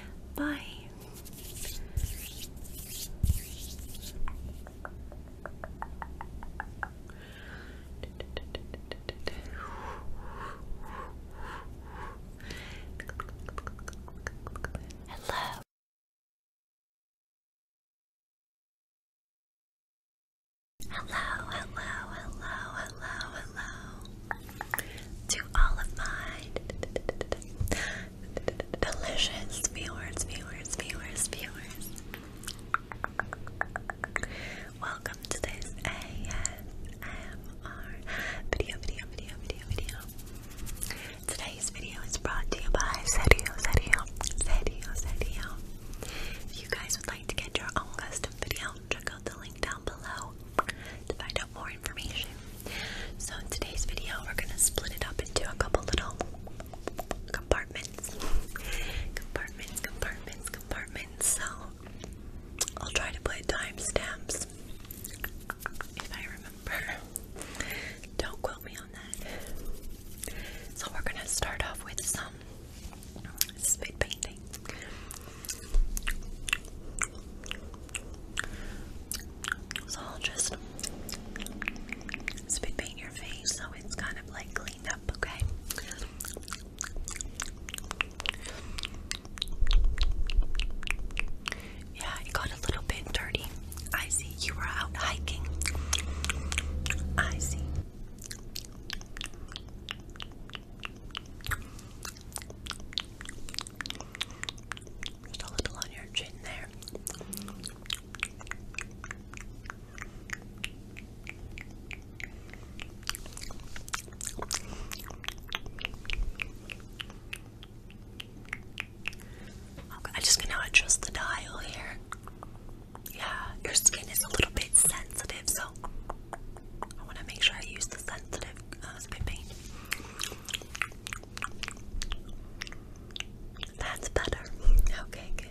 Speaker 1: Bye. Hello. Hello, hello, hello, hello, to all of my delicious viewers, viewers, viewers, viewers. Welcome to this ASMR video, video, video, video, video. Today's video is brought to you by Serio, Serio, Serio, Serio. If you guys would like to get your own custom video, check out the link down below to find more information. So in today's video, we're gonna split it up into a couple little compartments, compartments, compartments, compartments. So I'll try to put timestamps if I remember. Don't quote me on that. So we're gonna start off with some spit paint. So I'll just spit paint your face so it's kind of like cleaned up, okay? Yeah, it got a little bit dirty. I see you were out hiking. I see. Just a little on your chin there. Okay, I'm just gonna adjust the dial here. Yeah, your skin is a little bit sensitive, so I want to make sure I use the sensitive uh, spray paint. That's better. Okay, good.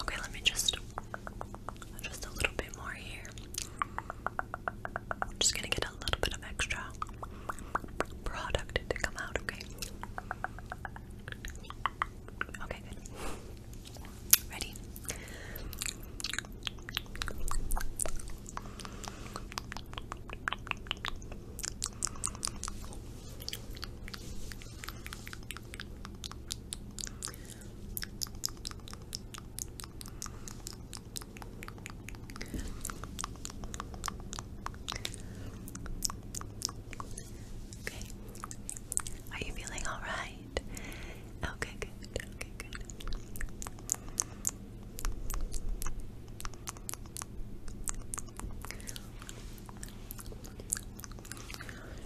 Speaker 1: Okay, let me just just a little bit more here. just gonna get a little bit of extra product to come out, okay? Okay, Ready? Okay. Are you feeling all right? Okay, good. Okay, good.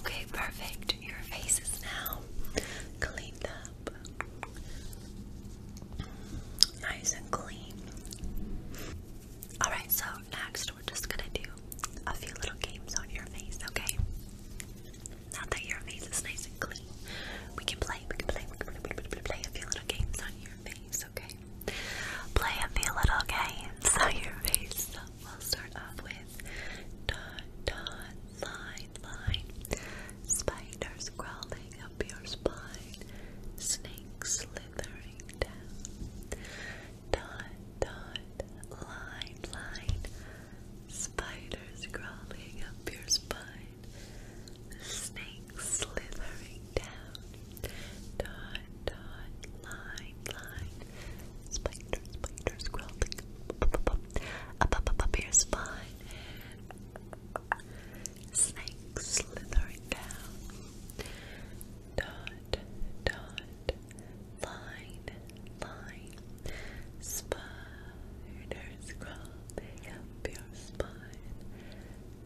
Speaker 1: Okay, perfect. Your face is now cleaned up. Nice and clean. Alright, so next we're just gonna do a few little games on your face, okay? Now that your face is nice and clean, we can play, we can play, a few little games your face, okay? Play a little game, so your face. we'll start off with dot, dot, line, line. Spiders crawling up your spine. Snakes slithering down. Dot, dot, line, line. Spiders crawling up your spine. Snake slithering down. Dot, dot, line, line. Spider, spider, up your spine. Snake slithering down. Dot, dot, line, line. Spiders crawling up your spine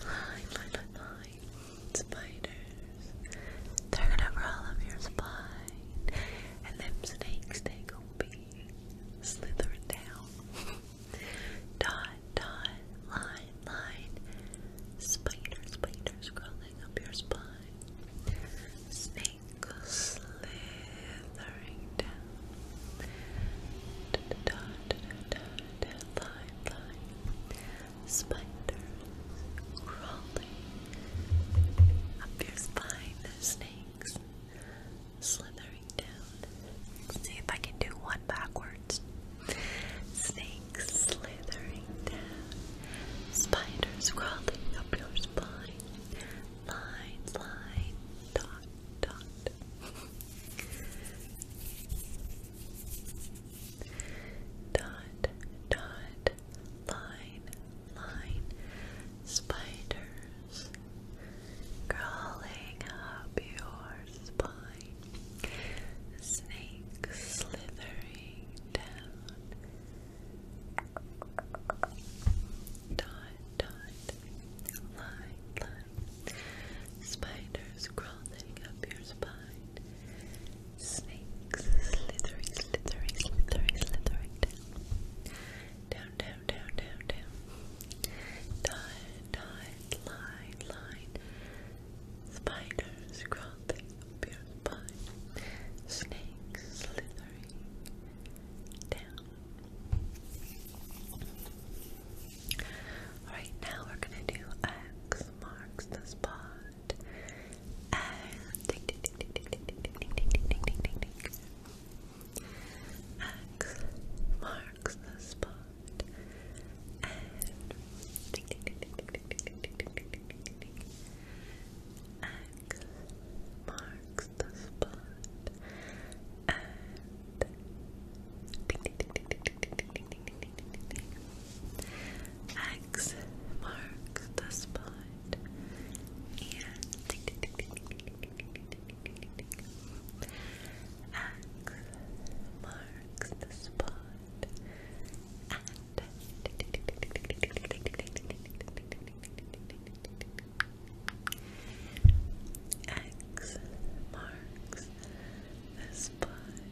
Speaker 1: Line, line, line, Spiders. They're gonna roll up your spine. And them snakes, they gon' be slithering down. (laughs) dot, dot, line, line. Spider, spiders crawling up your spine. Snake slithering down. Da, da, line, line spiders crawling up your spine, snakes slithering down. See if I can do one backwards. Snakes slithering down, spiders crawling up your spine, line, line, dot, dot. Dot, dot, line, line, spiders crawling up your spine, snakes slithering down. Dot, dot, line, line, spiders crawling up your spine. Snakes slithering, slithering, slithering, slithering down. Down, down, down, down, down. Dot, line, line. Spiders crawling up your spine. Snakes slithering down. Alright, now we're gonna do X marks the spot out. And marks the spot. And marks the spot. And X marks the spot. X marks the spot. X marks the spot.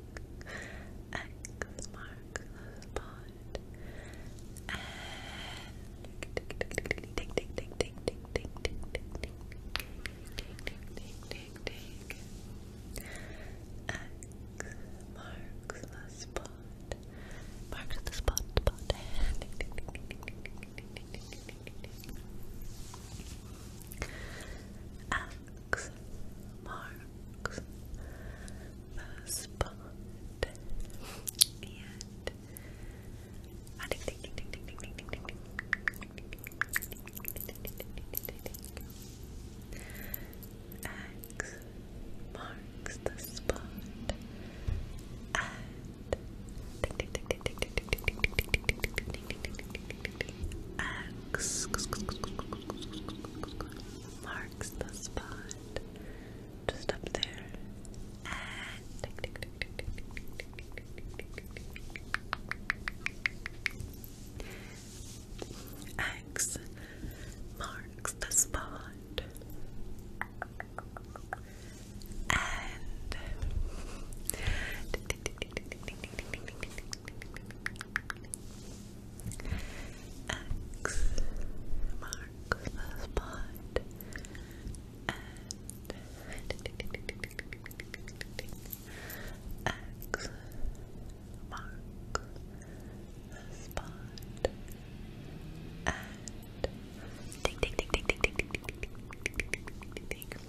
Speaker 1: X marks the spot. X marks the spot. Marks the spot, marks, marks the spot. And X marks the spot X marks the spot just up there. X marks the spot. And X marks the spot and X marks the spot and ding ding ding ding ding ding ding ding ding ding ding ding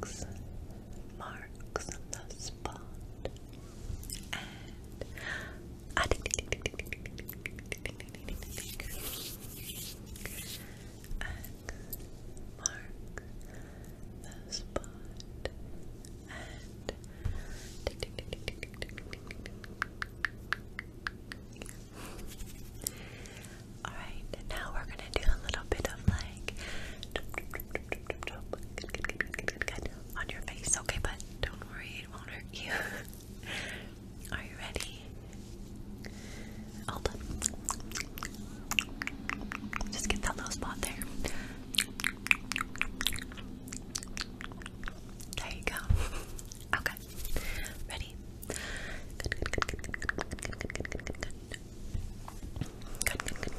Speaker 1: X marks the spot. And mark the spot Alright, now we're gonna do a little bit of like on your face, okay, but don't worry, it won't hurt you. (laughs) Are you ready? Hold on. Just get that little spot there. There you go. (laughs) Okay. Ready? Jump, jump, jump, jump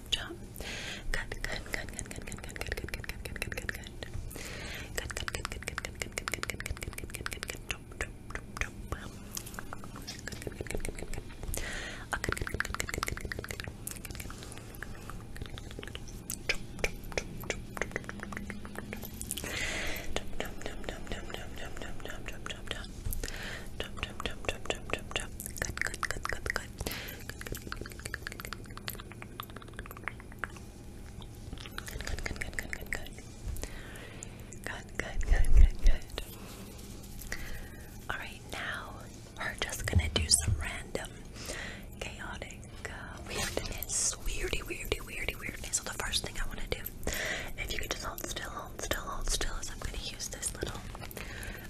Speaker 1: jump, jump. Good, good, good, good, good, good, good, good, good, good, good, good, good, good, good. Good, good, good, good, good, good, good, good, good, good, good, good, good, good, jump, jump, jump, jump. Good, good, good, good, good, good. Oh, good, good, good, good, good, good, good, good, good. Good, good, good, good, good, Alright, now we're just gonna do some random chaotic weirdness. Weirdy, weirdy, weirdy, weirdness. So the first thing I wanna do, if you could just hold still, hold still, hold still, I'm gonna use this little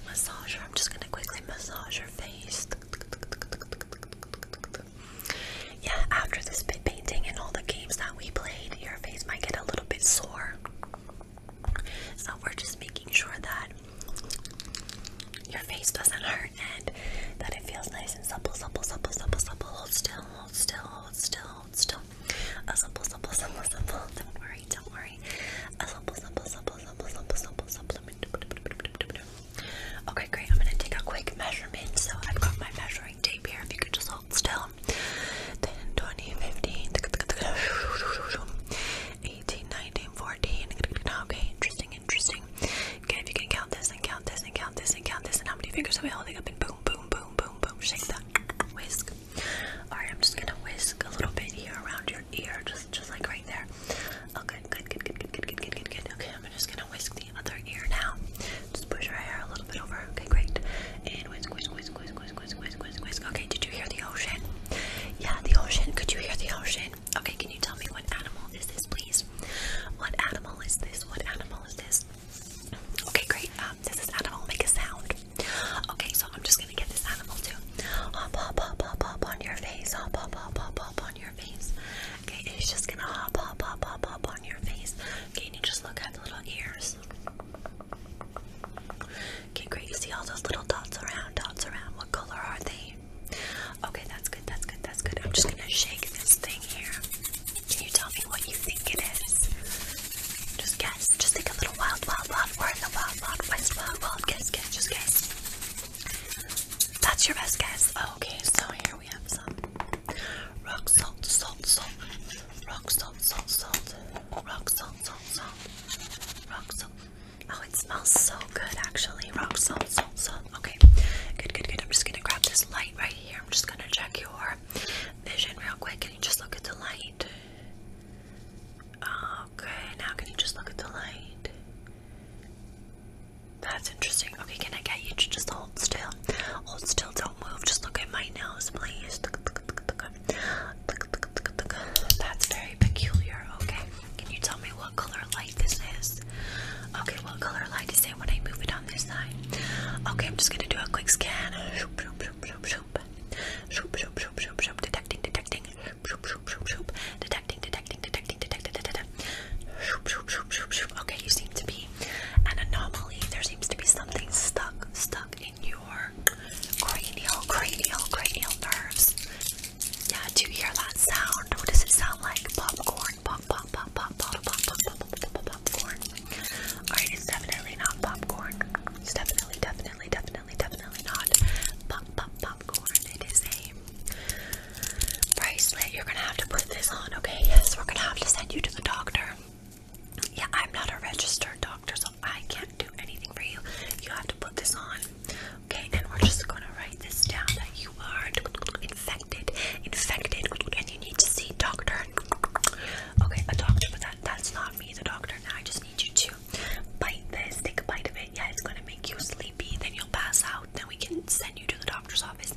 Speaker 1: massage her. I'm just gonna quickly massage her face. Yeah, after this bit painting and all the games that we played, your face might get a little bit sore. So we're just making sure that your face doesn't hurt and that it feels nice and supple, supple, supple, supple, supple. Hold still, hold still, hold still, hold still. A supple, supple, supple, supple. Don't worry, don't worry. A supple, supple, supple. Okay, great. I'm gonna take a quick measurement. So I've got my measuring tape here. If you could just hold still. 10, 20, 18, 19, 14. Okay, interesting, interesting. Okay, if you can count this and count this and count this and count this and how many fingers are we holding up and boom, boom, boom, boom, boom. Shake that whisk. Alright, I'm just gonna whisk a little bit here around your ear, just just like right there. Okay, oh, good, good, good, good, good, good, good, good, Okay, I'm just gonna whisk the other ear now. Just push your hair a little bit over. Okay, great. And whisk, whisk, whisk, whisk, whisk, whisk, whisk, whisk, Okay, did you hear the ocean? Yeah, the ocean. Could you hear the ocean? Okay, can you tell me what animal is this, please? What animal is this? What animal is this? Okay, great. Um, this is animal. Make a sound. Okay, so I'm just gonna get this animal too. Hop, hop, hop, hop, hop on your face. Hop, hop, hop, hop, hop on your face. Okay, it's just gonna hop, hop, hop, hop, hop on your face. Okay, and you just look at the little ears. Okay, great. You see all those little dots around, dots around. What color are they? Okay, that's good, that's good, that's good. I'm just gonna shake this thing here. Can you tell me what you think it is? Just guess. Just take a little wild, wild, wild. We're in the wild, wild west, wild, wild. Guess, guess, just guess. That's your best guess. Oh, okay, so here we have some rock salt, salt, salt, rock salt, salt, salt, rock salt, salt, salt, rock salt. Oh, it smells so good actually. Rock salt, salt, salt. Okay, good, good, good. I'm just gonna grab this light right here. I'm just gonna check your vision real quick. Can you just look at the light? Okay, oh, now can you just look at the light? That's interesting. Okay, can I get you to just hold still? Hold still, don't move. Just look at my nose, please. That's very peculiar. Okay, can you tell me what color light this is? Okay, what color light is it when I move it on this side? Okay, I'm just gonna do a quick scan. Detecting, detecting shoop, shoop, shoop. you seem to be an anomaly. There seems to be something stuck, stuck in your cranial, cranial, cranial nerves. Yeah, do you hear that sound? What does it sound like? Popcorn, pop, pop, pop, pop, pop, pop, pop, pop, pop, popcorn. Alright, it's definitely not popcorn. It's definitely, definitely, definitely, definitely not. Pop, pop, pop popcorn. bracelet. You're gonna have to put this on, okay? Yes, we're gonna have to send you to the doctor. Yeah, I'm not a registered doctor, so I can't do anything for you. You have to put this on, okay? And we're just gonna write this down that you are infected, infected, and you need to see doctor. Okay, a doctor, but that that's not me, the doctor. Now I just need you to bite this, take a bite of it. Yeah, it's gonna make you sleepy, then you'll pass out, then we can send you to the doctor's office.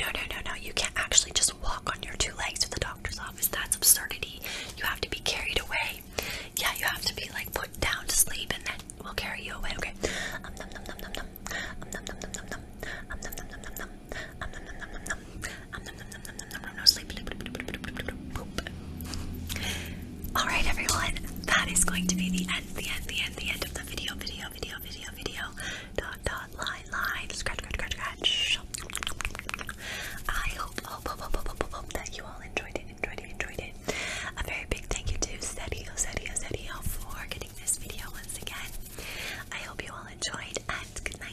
Speaker 1: No, no, no, no, you can't actually just walk on your two legs to the doctor's office. That's absurdity. You have to be carried away. Yeah, you have to be like put down to sleep and then we'll carry you away. Okay. Um num num num num num um num num num num num um num num num num num um num num num num num um num num num num num num num num sleep sleep sleep sleep sleep sleep sleep Alright everyone, that is going to be the end, the end, the end, the end of the video, video, video, video, video. Dot dot line line scratch scratch scratch. I hope hope hope hope hope hope, hope that you all enjoyed it, enjoyed it, enjoyed it. A very big thank you to Sedio, Sedio, Sedio for getting this video once again. I hope you all enjoyed and good night.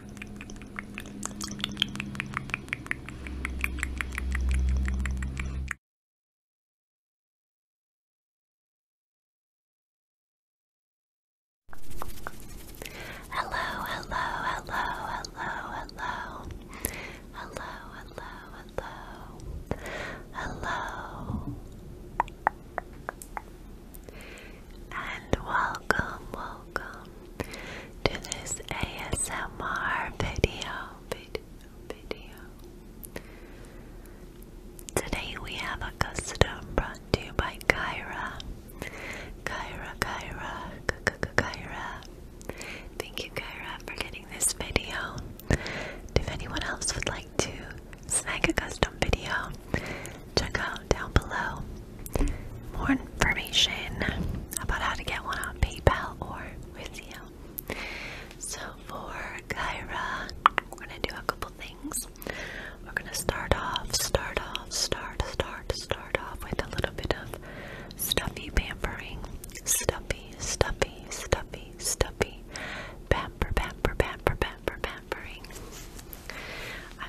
Speaker 2: Hello,
Speaker 1: hello, hello, hello, hello. Hello, hello, hello. Hello. And welcome, welcome, to this ASMR video, video, video. Today we have a custom brought to you by Kyra. Kyra, Kyra, K Kyra. Thank you, Kyra, for getting this video. If anyone else would like to snag a custom video, check out down below. More information about how to get one on PayPal or with you. So for Kyra, we're gonna do a couple things. We're gonna start off, start off, start, start, start off with a little bit of stuffy pampering. Stuffy, stuffy, stuffy, stuffy. Pamper, pamper, pamper, pamper, pampering.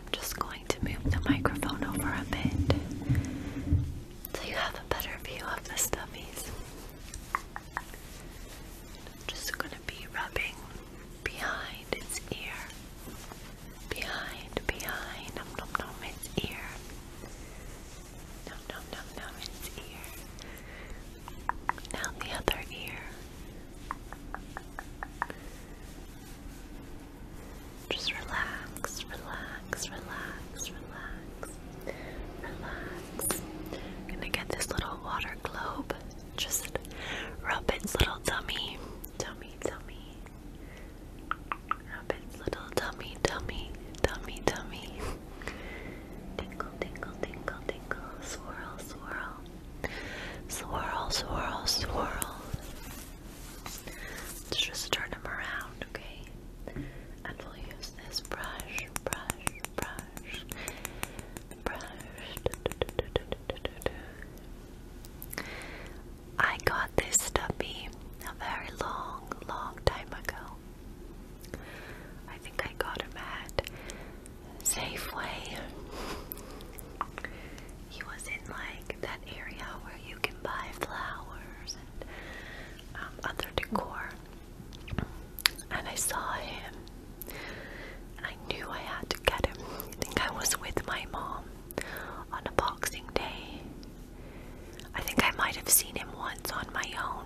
Speaker 1: I'm just going to move the microphone over a bit so you have a better view of the stuffies. just going to be rubbing behind its ear. Behind, behind, nom nom nom, its ear. Nom nom nom nom, its ear. Now the other ear. Just relax, relax, relax, relax, relax. gonna get this little water globe. Just rub its little tummy, tummy, tummy. Rub its little tummy, tummy, tummy, tummy. Tingle, tingle, tingle, tingle. Swirl, swirl. Swirl, swirl, swirl. Let's just turn them around, okay? And we'll use this brush, brush, brush, brush. I got this stubby a very long, long time ago. I think I got him at Safeway he was in like that area where you can buy flowers and um, other decor. And I saw him, I knew I had to get him. I think I was with my mom on a Boxing Day. I think I might have seen him once on my own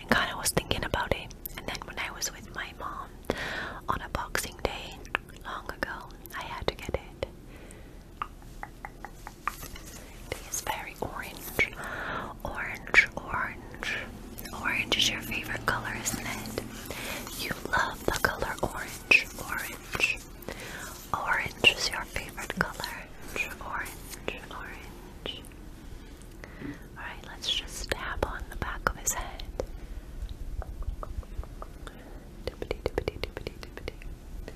Speaker 1: and kind of was thinking about it. And then when I was with my mom on a Boxing Day long ago, I had to get it. It is very orange. Orange, orange. Orange is your favorite color, isn't it? You love the color orange, orange. Orange is your favorite color. Orange, orange. Alright, let's just tap on the back of his head. Tippity, tippity, tippity, tippity.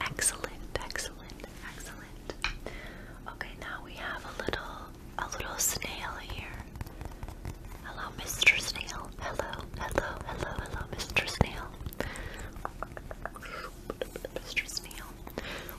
Speaker 1: Excellent, excellent, excellent. Okay, now we have a little, a little snail here. Hello, Mr. Snail. Hello, hello, hello, hello, Mr. Snail. Mr. Snail.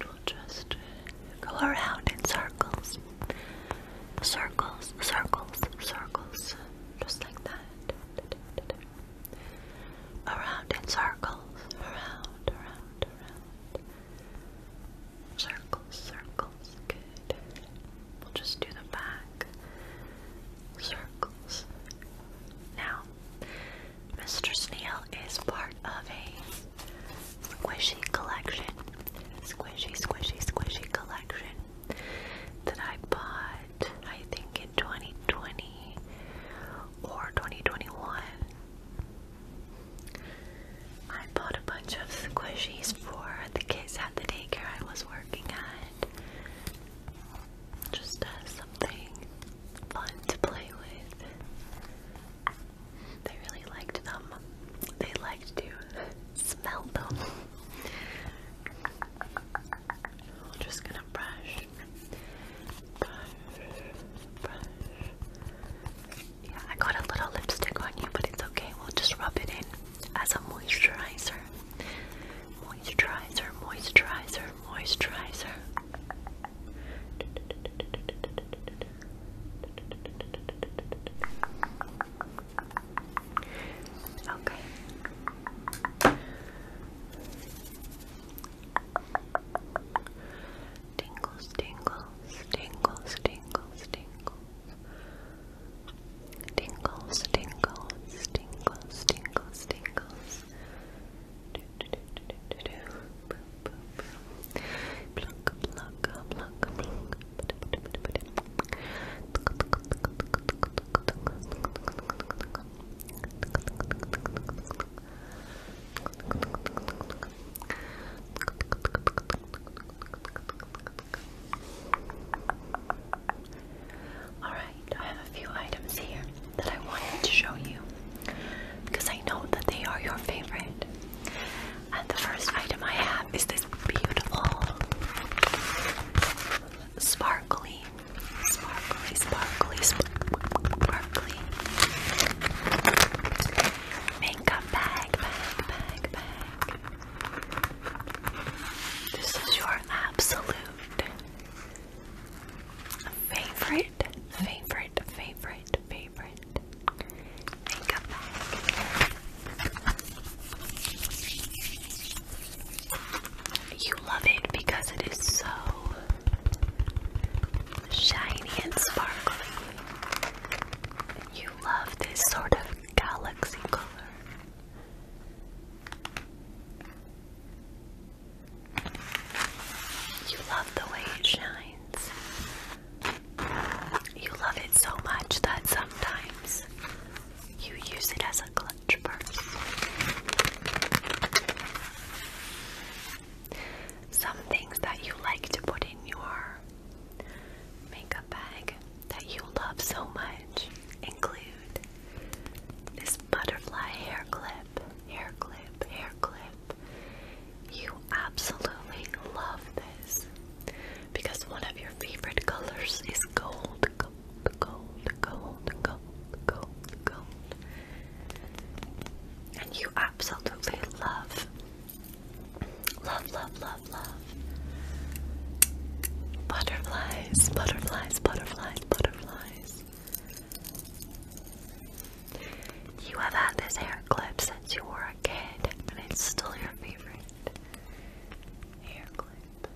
Speaker 1: we will just go around in circles. Circles, circles, circles. Just like that. Around in circles. Around, around, around. Circles, circles. Good. We'll just do the back. Circles. Now, Mr. Snail is part of a squishy collection, squishy, squishy, squishy collection that I bought, I think, in 2020 or 2021. I bought a bunch of squishies for the kids at the daycare I was working at. Just as uh, something fun to play with. They really liked them. They liked to (laughs) smell them. I'm just gonna brush. Brush, brush. Yeah, I got a little lipstick on you, but it's okay. We'll just rub it in as a moisturizer. Moisturizer, moisturizer, moisturizer. Okay. Tingles, tingles, tingles, tingles, tingles. Tingles, tingles, tingles, tingles, tingles. All right, I have a few items here that I wanted to show you because I know that they are your favorite. And the first item I have is this beautiful sparkly, sparkly, sparkly, sparkly makeup bag, This is your absolute favorite, favorite, favorite, favorite, you love it because it is so shiny and sparkly. You love this sort of galaxy color. You love the way it shines. You love it so much that sometimes you use it as a clutch purse. Some things that you like to put in your makeup bag that you love so much include this butterfly hair clip, hair clip, hair clip. You absolutely love this because one of your favorite colors is gold, gold, gold, gold, gold, gold, And you absolutely love, love, love, love, love butterflies, butterflies, butterflies, butterflies. You have had this hair clip since you were a kid, and it's still your favorite hair clip.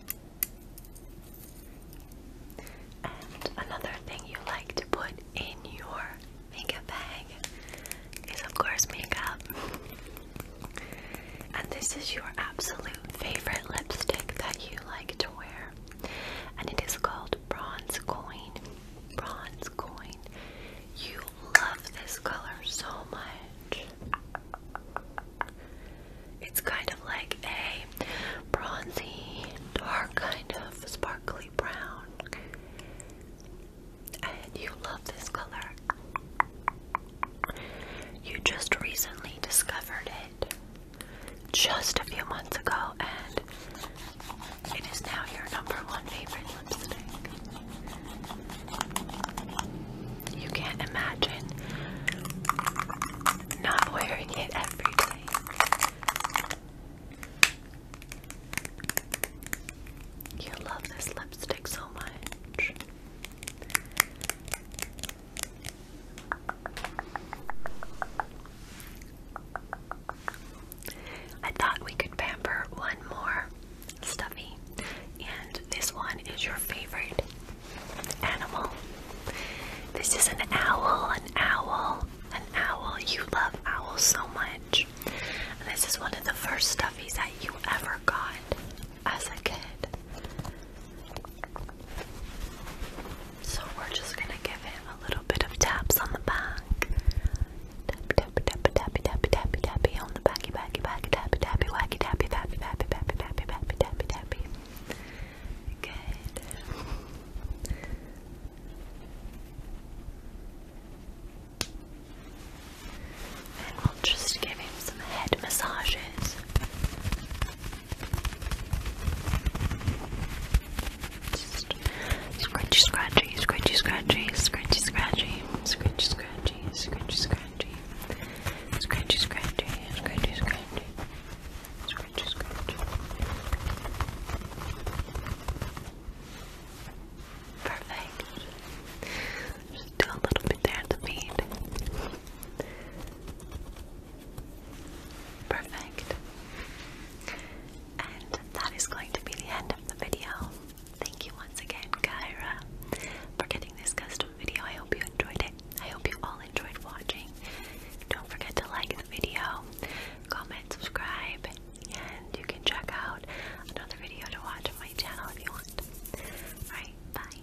Speaker 1: And another thing you like to put in your makeup bag is, of course, makeup. and this is your absolute favorite lipstick that you like to wear, and it is called Bronze Coin. Bronze Coin. You love this color so much. It's kind of like a bronzy, dark kind of sparkly brown. And you love this color. You just recently discovered it just a few months ago, and it is now your number one favorite lipstick. You can't imagine not wearing it every day. You love this lipstick so much. I thought we could pamper one more stuffy. And this one is your favorite animal. This is an owl, an owl, an owl. You love owls so much. And this is one of the first stuffies that you ever got as a kid. So we're just gonna give him a little bit of taps on the back. Tappy tappy tappy tappy tappy tappy tappy on the backy backy backy tappy tappy wacky tappy tappy tappy tappy tappy tappy tappy tappy. Good. And we'll just give him some head massages. Just scratchy, scratchy, scratchy, scratchy, scratchy. Scratchy, scratchy, scratchy, scratchy. Scratchy, scratchy, scratchy, scratchy. Scratchy, scratchy. Perfect. Just do a little bit there at the bead. Perfect. And that is going to be the end of the video. Thank you once again, Kyra, for getting this custom video. I hope you enjoyed it. I hope you all enjoyed watching. Don't forget to like the video, comment, subscribe, and you can check out another video to watch on my channel if you want. Alright, bye.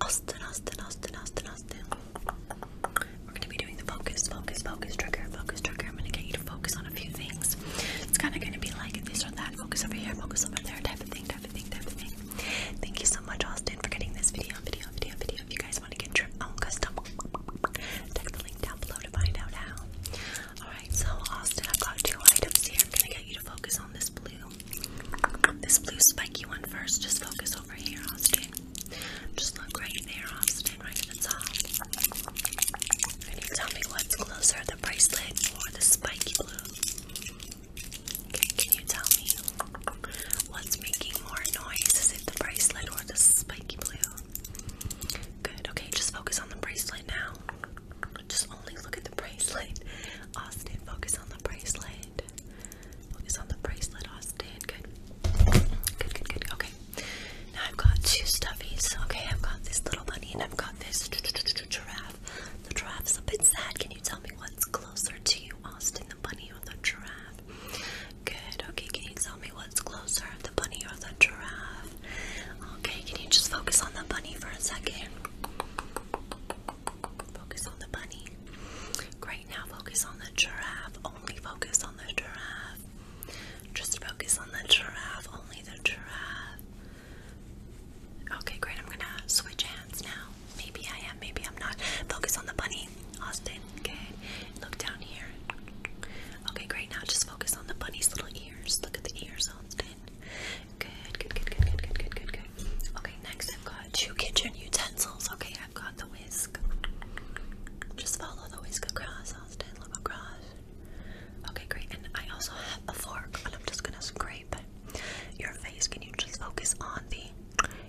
Speaker 1: Austin, Austin, Austin, Austin, Austin. We're gonna be doing the focus, focus, focus trigger, focus trigger. I'm gonna get you to focus on a few things. It's kind of gonna be like this or that. Focus over here, focus over there, type of thing, type of thing, type of thing. Thank you so much, Austin, for getting this video, video, video, video. If you guys want to get your own custom, check the link down below to find out how. All right, so Austin, I've got two items here. I'm gonna get you to focus on this blue, this blue spiky one first. Just focus over here, Austin. Just look right there, Austin, right at the top. Can you tell me what's closer, the bracelet or the spiky blue? Okay, can you tell me what's making more noise? Is it the bracelet or the spiky blue? Good, okay, just focus on the bracelet now. Just only look at the bracelet. Austin, focus on the bracelet. Focus on the bracelet, Austin. Good. Good, good, good. Okay. Now I've got two stuffies. Okay, I've got this little bunny and I've got this giraffe. The giraffe's a bit sad. Can you tell me what's closer to you, Austin? The bunny or the giraffe? Good. Okay, can you tell me what's closer, the bunny or the giraffe? Okay, can you just focus on the bunny for a second? Focus on the bunny. Great right now focus on the giraffe. Only focus on the giraffe. Just focus on the giraffe. Only the giraffe. Okay, great. I'm gonna switch hands now. Maybe I am, maybe I'm not. Focus on the bunny, Austin. Okay, look down here. Okay, great. Now just focus on the bunny's little ears. Look at the ears, Austin. Good, good, good, good, good, good, good, good. Okay, next I've got two kitchen utensils. Okay, I've got the whisk. Just follow the whisk across. I'll stand look across. Okay, great. And I also have a fork, and I'm just gonna scrape your face. Can you just focus on the,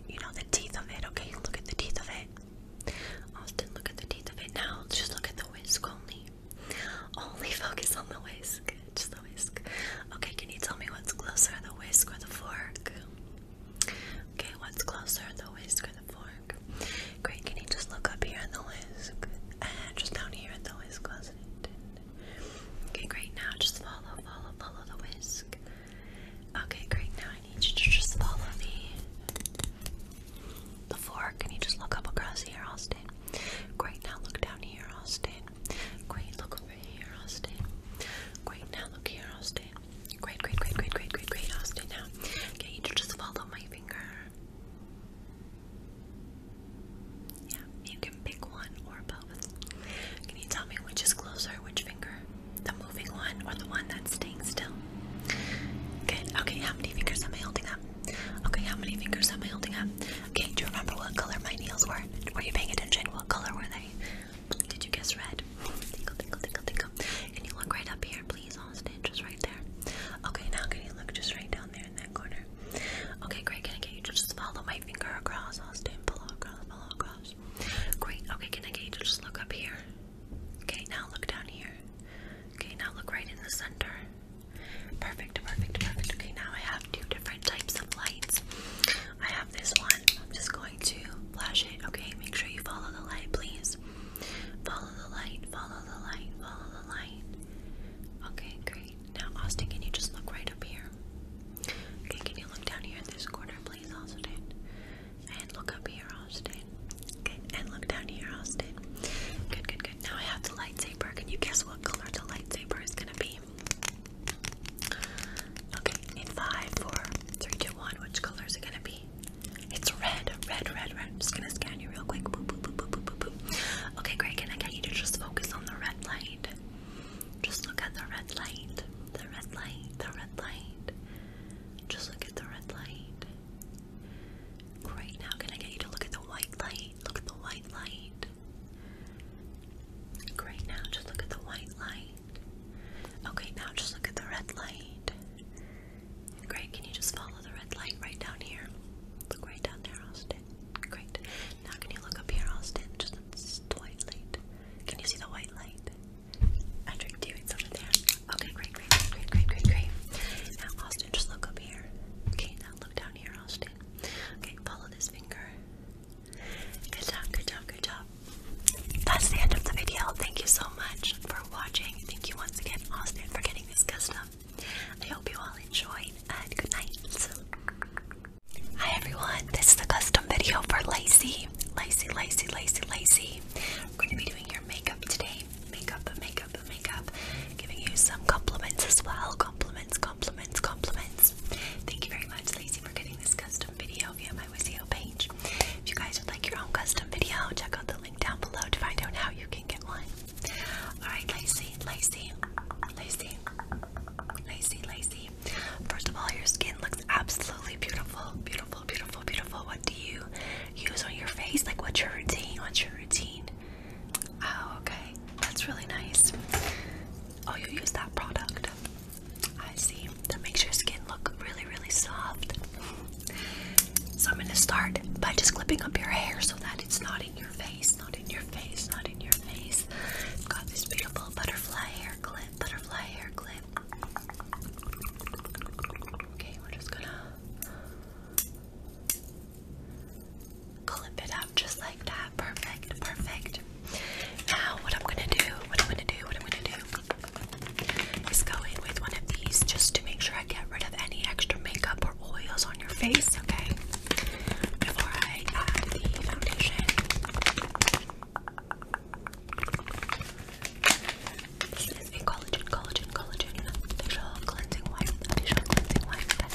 Speaker 1: you know, the teeth of it? Okay, look at the teeth of it. Austin, look at the teeth of it. Now just look at the whisk only. Only focus on the whisk. Just the whisk. Okay, can you tell me what's closer, the whisk or the fork? Okay, what's closer, the whisk or the fork? Great, can you just look up here at the whisk? And just down here at the whisk, was Okay, great, now just follow, follow, follow the whisk. Okay, great, now I need you to just follow me. the fork. Can you just look up across here, I'll stay. Great, now look down here, Austin. Great, look over here, Austin. Great, now look here, Austin. Great, great, great, great, great, great, great. Austin now. Get you just follow my finger. Yeah, you can pick one or both. Can you tell me which is closer, which finger? The moving one or the one that's staying still? Good. Okay, how many fingers am I holding up? Okay, how many fingers am I holding up? Okay, do you remember what color my nails were? Were you paying attention? What color were they? Did you guess red? Can you look right up here, please, Austin? Just right there. Okay, now can you look just right down there in that corner? Okay, great. Can I get you to just follow my finger across, Austin? Follow across, follow across. Great. Okay, can I get you to just look up here? Okay, now look down here. Okay, now look right in the center. Perfect, perfect, perfect. Okay, now I have two different types of lights. I this one. I'm just going to flash it. Okay, make sure you follow the light, please. Follow the light, follow the light, follow the light. Okay, great. Now, Austin, can you just look right up here? Okay, can you look down here in this corner, please, Austin? And look up here, Austin. Okay. and look down here, Austin. Good, good, good. Now I have the lightsaber. Can you guess what color the lightsaber is gonna be? Okay, in five, four, three, two, one, which color is it gonna be? see? It's red, red, red, red. I'm just gonna scan you real quick. Boop, boop, boop, boop, boop, boop. Okay, great. Can I get you to just focus on the red light? Just look at the red light. The red light. The red light. Just look at the red light. Great. Now, can I get you to look at the white light? Look at the white light. Great. Now, just look at the white light. Okay, now just look at the red light. Great, can you just follow the red light right down here? Look right down there, Austin. Great. Now can you look up here, Austin? Just the white light. Can you see the white light? I tricked you, there. Okay, great, great, great, great, great, great. Now, Austin, just look up here. Okay, now look down here, Austin. Okay, follow this finger. Good job, good job, good job that's the end of the video. Thank you so much for watching. Thank you once again, Austin, for getting this custom. I hope you all enjoy. and good night. Hi everyone, this is the custom video for Lacy. Lacy, Lacy, Lacy, Lacy. We're going to be doing your makeup today. Makeup, makeup, makeup. Giving you some compliments as well. Compliments, compliments, compliments. Thank you very much, Lacy, for getting this custom video my page. If you guys would like your own custom video, check out the link down below to find out how you can get one. Alright, Lacey, Lacey, Lacey, Lacey, Lacey. First of all, your skin looks absolutely beautiful, beautiful, beautiful, beautiful. What do you use on your face? Like, what's your routine? What's your routine? Oh, okay. That's really nice. Oh, you use that product. I see. That makes your skin look really, really soft. So I'm gonna start by just clipping up your hair so that it's not in your face, not in your face, not in your face. got this beautiful butterfly hair clip, butterfly hair clip. Okay, we're just gonna clip it up just like that. Perfect, perfect. Now what I'm gonna do, what I'm gonna do, what I'm gonna do is go in with one of these just to make sure I get rid of any extra makeup or oils on your face, okay? Before I add the foundation. This is a collagen, collagen, collagen facial cleansing wipe, facial cleansing wipe.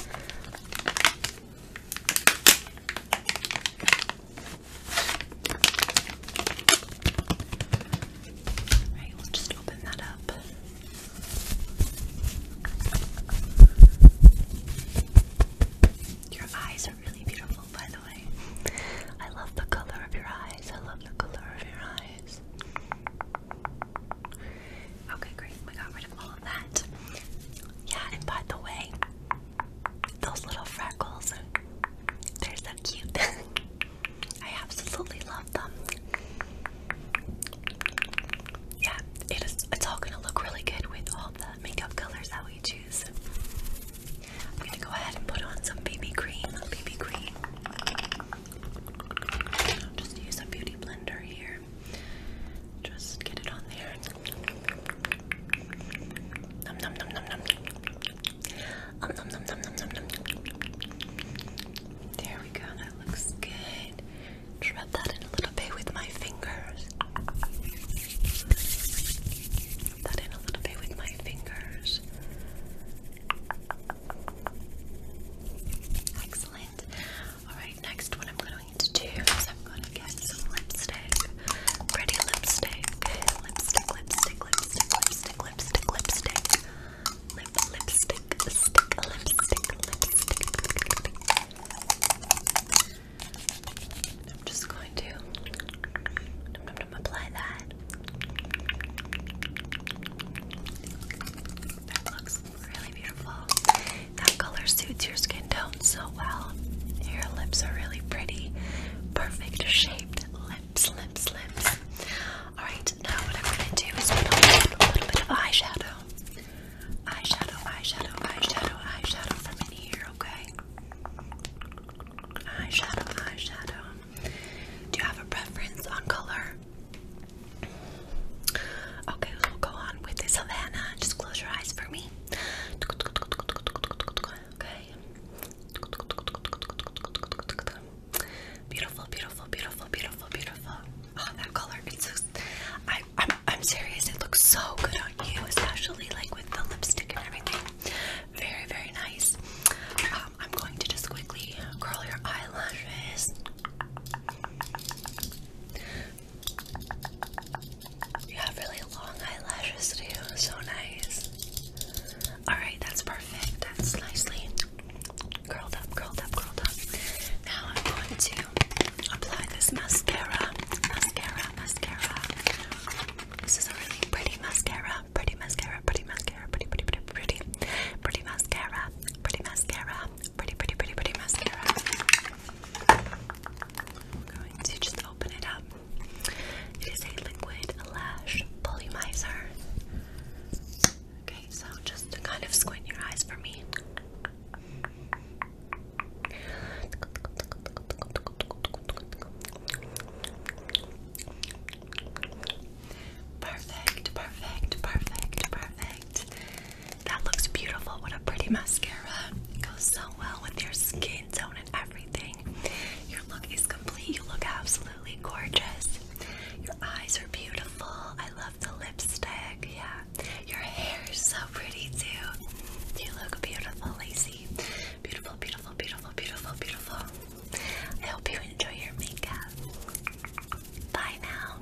Speaker 1: Right, we'll just open that up. Your eyes are really beautiful, by the way. I love the color of your eyes. I love the color of your eyes. Okay, great. We got rid of all of that. Yeah, and by the way, those little freckles, they're so cute. (laughs) I absolutely love them. Yeah, it is all gonna look really good with all the makeup colors that we choose. I'm gonna go ahead and put on some BB cream. BB cream. just use a beauty blender here. Just get it on there. Nom nom nom nom nom. There we go. That looks good. rub that in a little bit with my fingers. that in a little bit with my fingers. Excellent. Alright, next what I'm going to do is I'm going to get some lipstick. Pretty lipstick. Lipstick, lipstick, lipstick, lipstick lipstick, lipstick, lipstick. Lip, lipstick, stick, lipstick, lipstick. I'm just going to apply that. That looks really beautiful. That color suits your skin tone so well. Your lips are really pretty. Perfect shaped lips, lips, lips. Alright, now what I'm gonna do is put on a little bit of eyeshadow. Eyeshadow, eyeshadow, eyeshadow, eyeshadow from in here, okay? Eyeshadow, eyeshadow. Do you have a preference on color? Okay, we'll go on with this Havana. Just close your eyes for me. Okay. Beautiful, beautiful, beautiful, beautiful, beautiful. Oh, that color. It's so, I, I'm, I'm serious. It looks so good on you, especially like with the lipstick and everything. Very, very nice. Um, I'm going to just quickly curl your eyelashes. You have really long eyelashes too. So nice. Alright, that's perfect. That's nicely curled up, curled up, curled up. Now I'm going to apply this mascara. Mascara, mascara. This is a really pretty mascara. Pretty mascara, pretty mascara, pretty, pretty, pretty, pretty. Pretty mascara, pretty mascara, pretty, pretty, pretty, pretty mascara. going to just open it up. It is a liquid lash volumizer. Okay, so just kind of squint your eyes for me. Perfect, perfect, perfect, perfect. That looks beautiful. What a pretty mascara. goes so well with your skin tone and everything. Your look is complete. You look absolutely gorgeous. Your eyes are beautiful. I love the lipstick. Yeah. Your hair is so pretty too. You look beautiful, Lacey. Beautiful, beautiful, beautiful, beautiful, beautiful. I hope you enjoy your makeup. Bye now.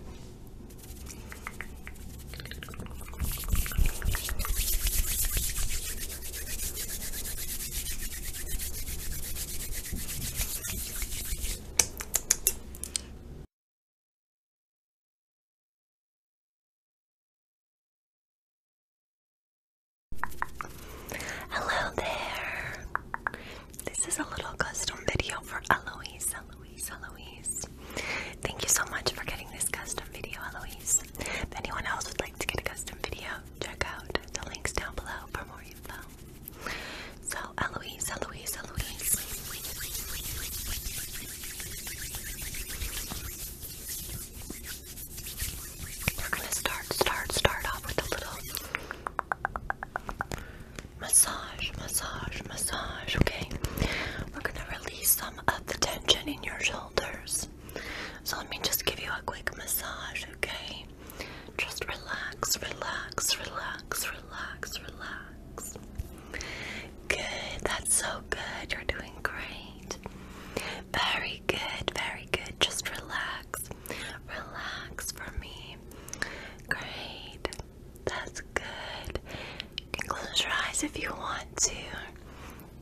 Speaker 1: Hello there. This is a little custom video for Eloise. Eloise, Eloise. Thank you so much for getting this custom video, Eloise. If anyone else would like to get a custom video, check out the links down below for more info. So, Eloise, Eloise, Eloise. We're gonna start, start, start off with a little massage, massage, massage, okay? We're gonna release some of the tension in your shoulders. So, let me just give you a quick massage, okay? Just relax, relax, relax, relax, relax. Good, that's so good. You're doing great. Very good, very good. Just relax, relax for me. Great, that's good. You can close your eyes if you want to.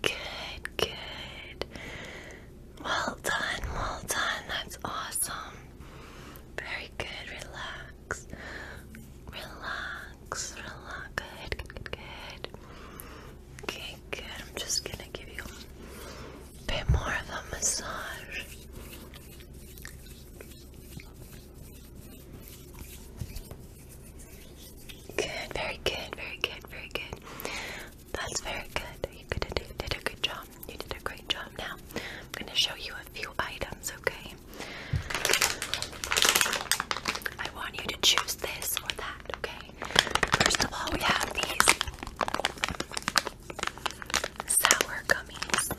Speaker 1: Good, good. Well done, well done. That's awesome. Very good. Relax. Relax. Relax. Good, good, good. Okay, good. I'm just gonna give you a bit more of a massage. Good, very good, very good, very good. That's very good. You did a, good job. You did a great job. Now, I'm going to show you a few items, okay? I want you to choose this or that, okay? First of all, we have these sour gummies.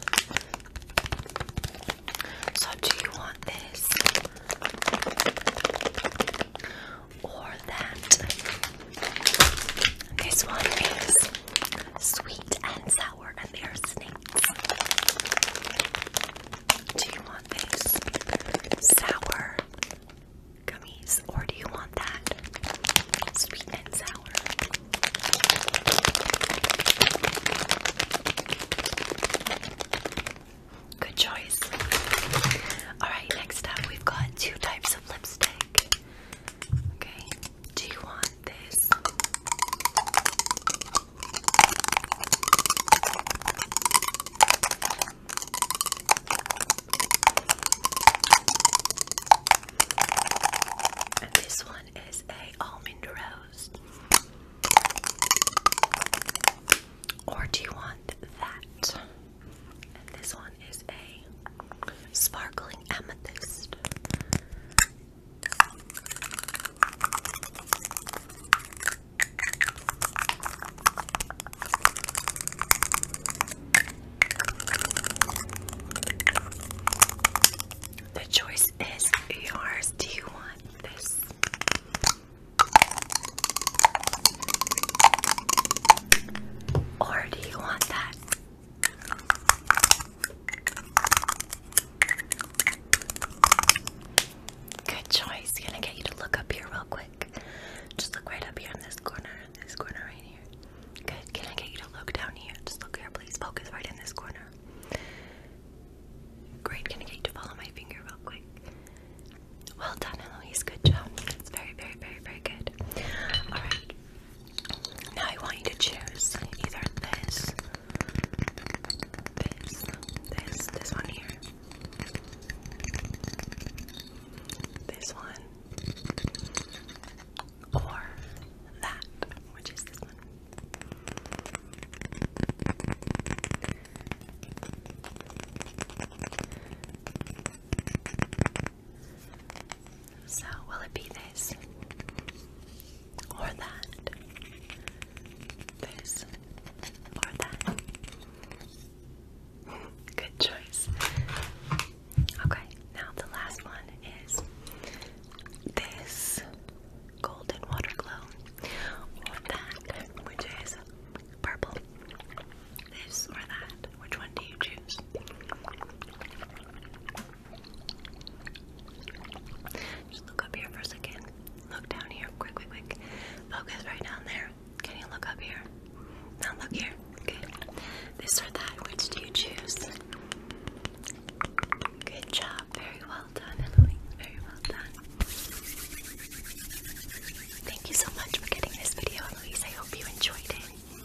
Speaker 1: So, do you want this or that? This one is sweet and sour, and they are snakes. Do you want these sour gummies, or do you want that sweet and sour? Good choice. Alright, next up we've got two types of lipstick. Okay, do you want this? And this one is a almond rose. Or do you want that? And this one is a sparkling amethyst. The choice is yours. Do you want this? Or do you want that? Good choice. Gonna get you to look up here real quick. Just look right up here in this corner, this corner right here. Good. Can I get you to look down here? Just look here, please. Focus right in this corner. Great. Can I get you to follow my finger real quick? Well done, Eloise. Good job. That's very, very, very, very good. All right. Now I want you to choose either this, this, this, this one here, this one, or that, which is this one. So, will it be this? Or that? This? Or that? Good choice. Okay, now the last one is this golden water glow, or that, which is purple. This or that, which one do you choose? Just look up here for a second. Look down here. Quick, quick, quick. Focus right down there. Can you look up here? Now look here. Good. This or that, which do you choose? Good job. Very well done, Emily. Very well done. Thank you so much for getting this video, Eloise. I hope you enjoyed it.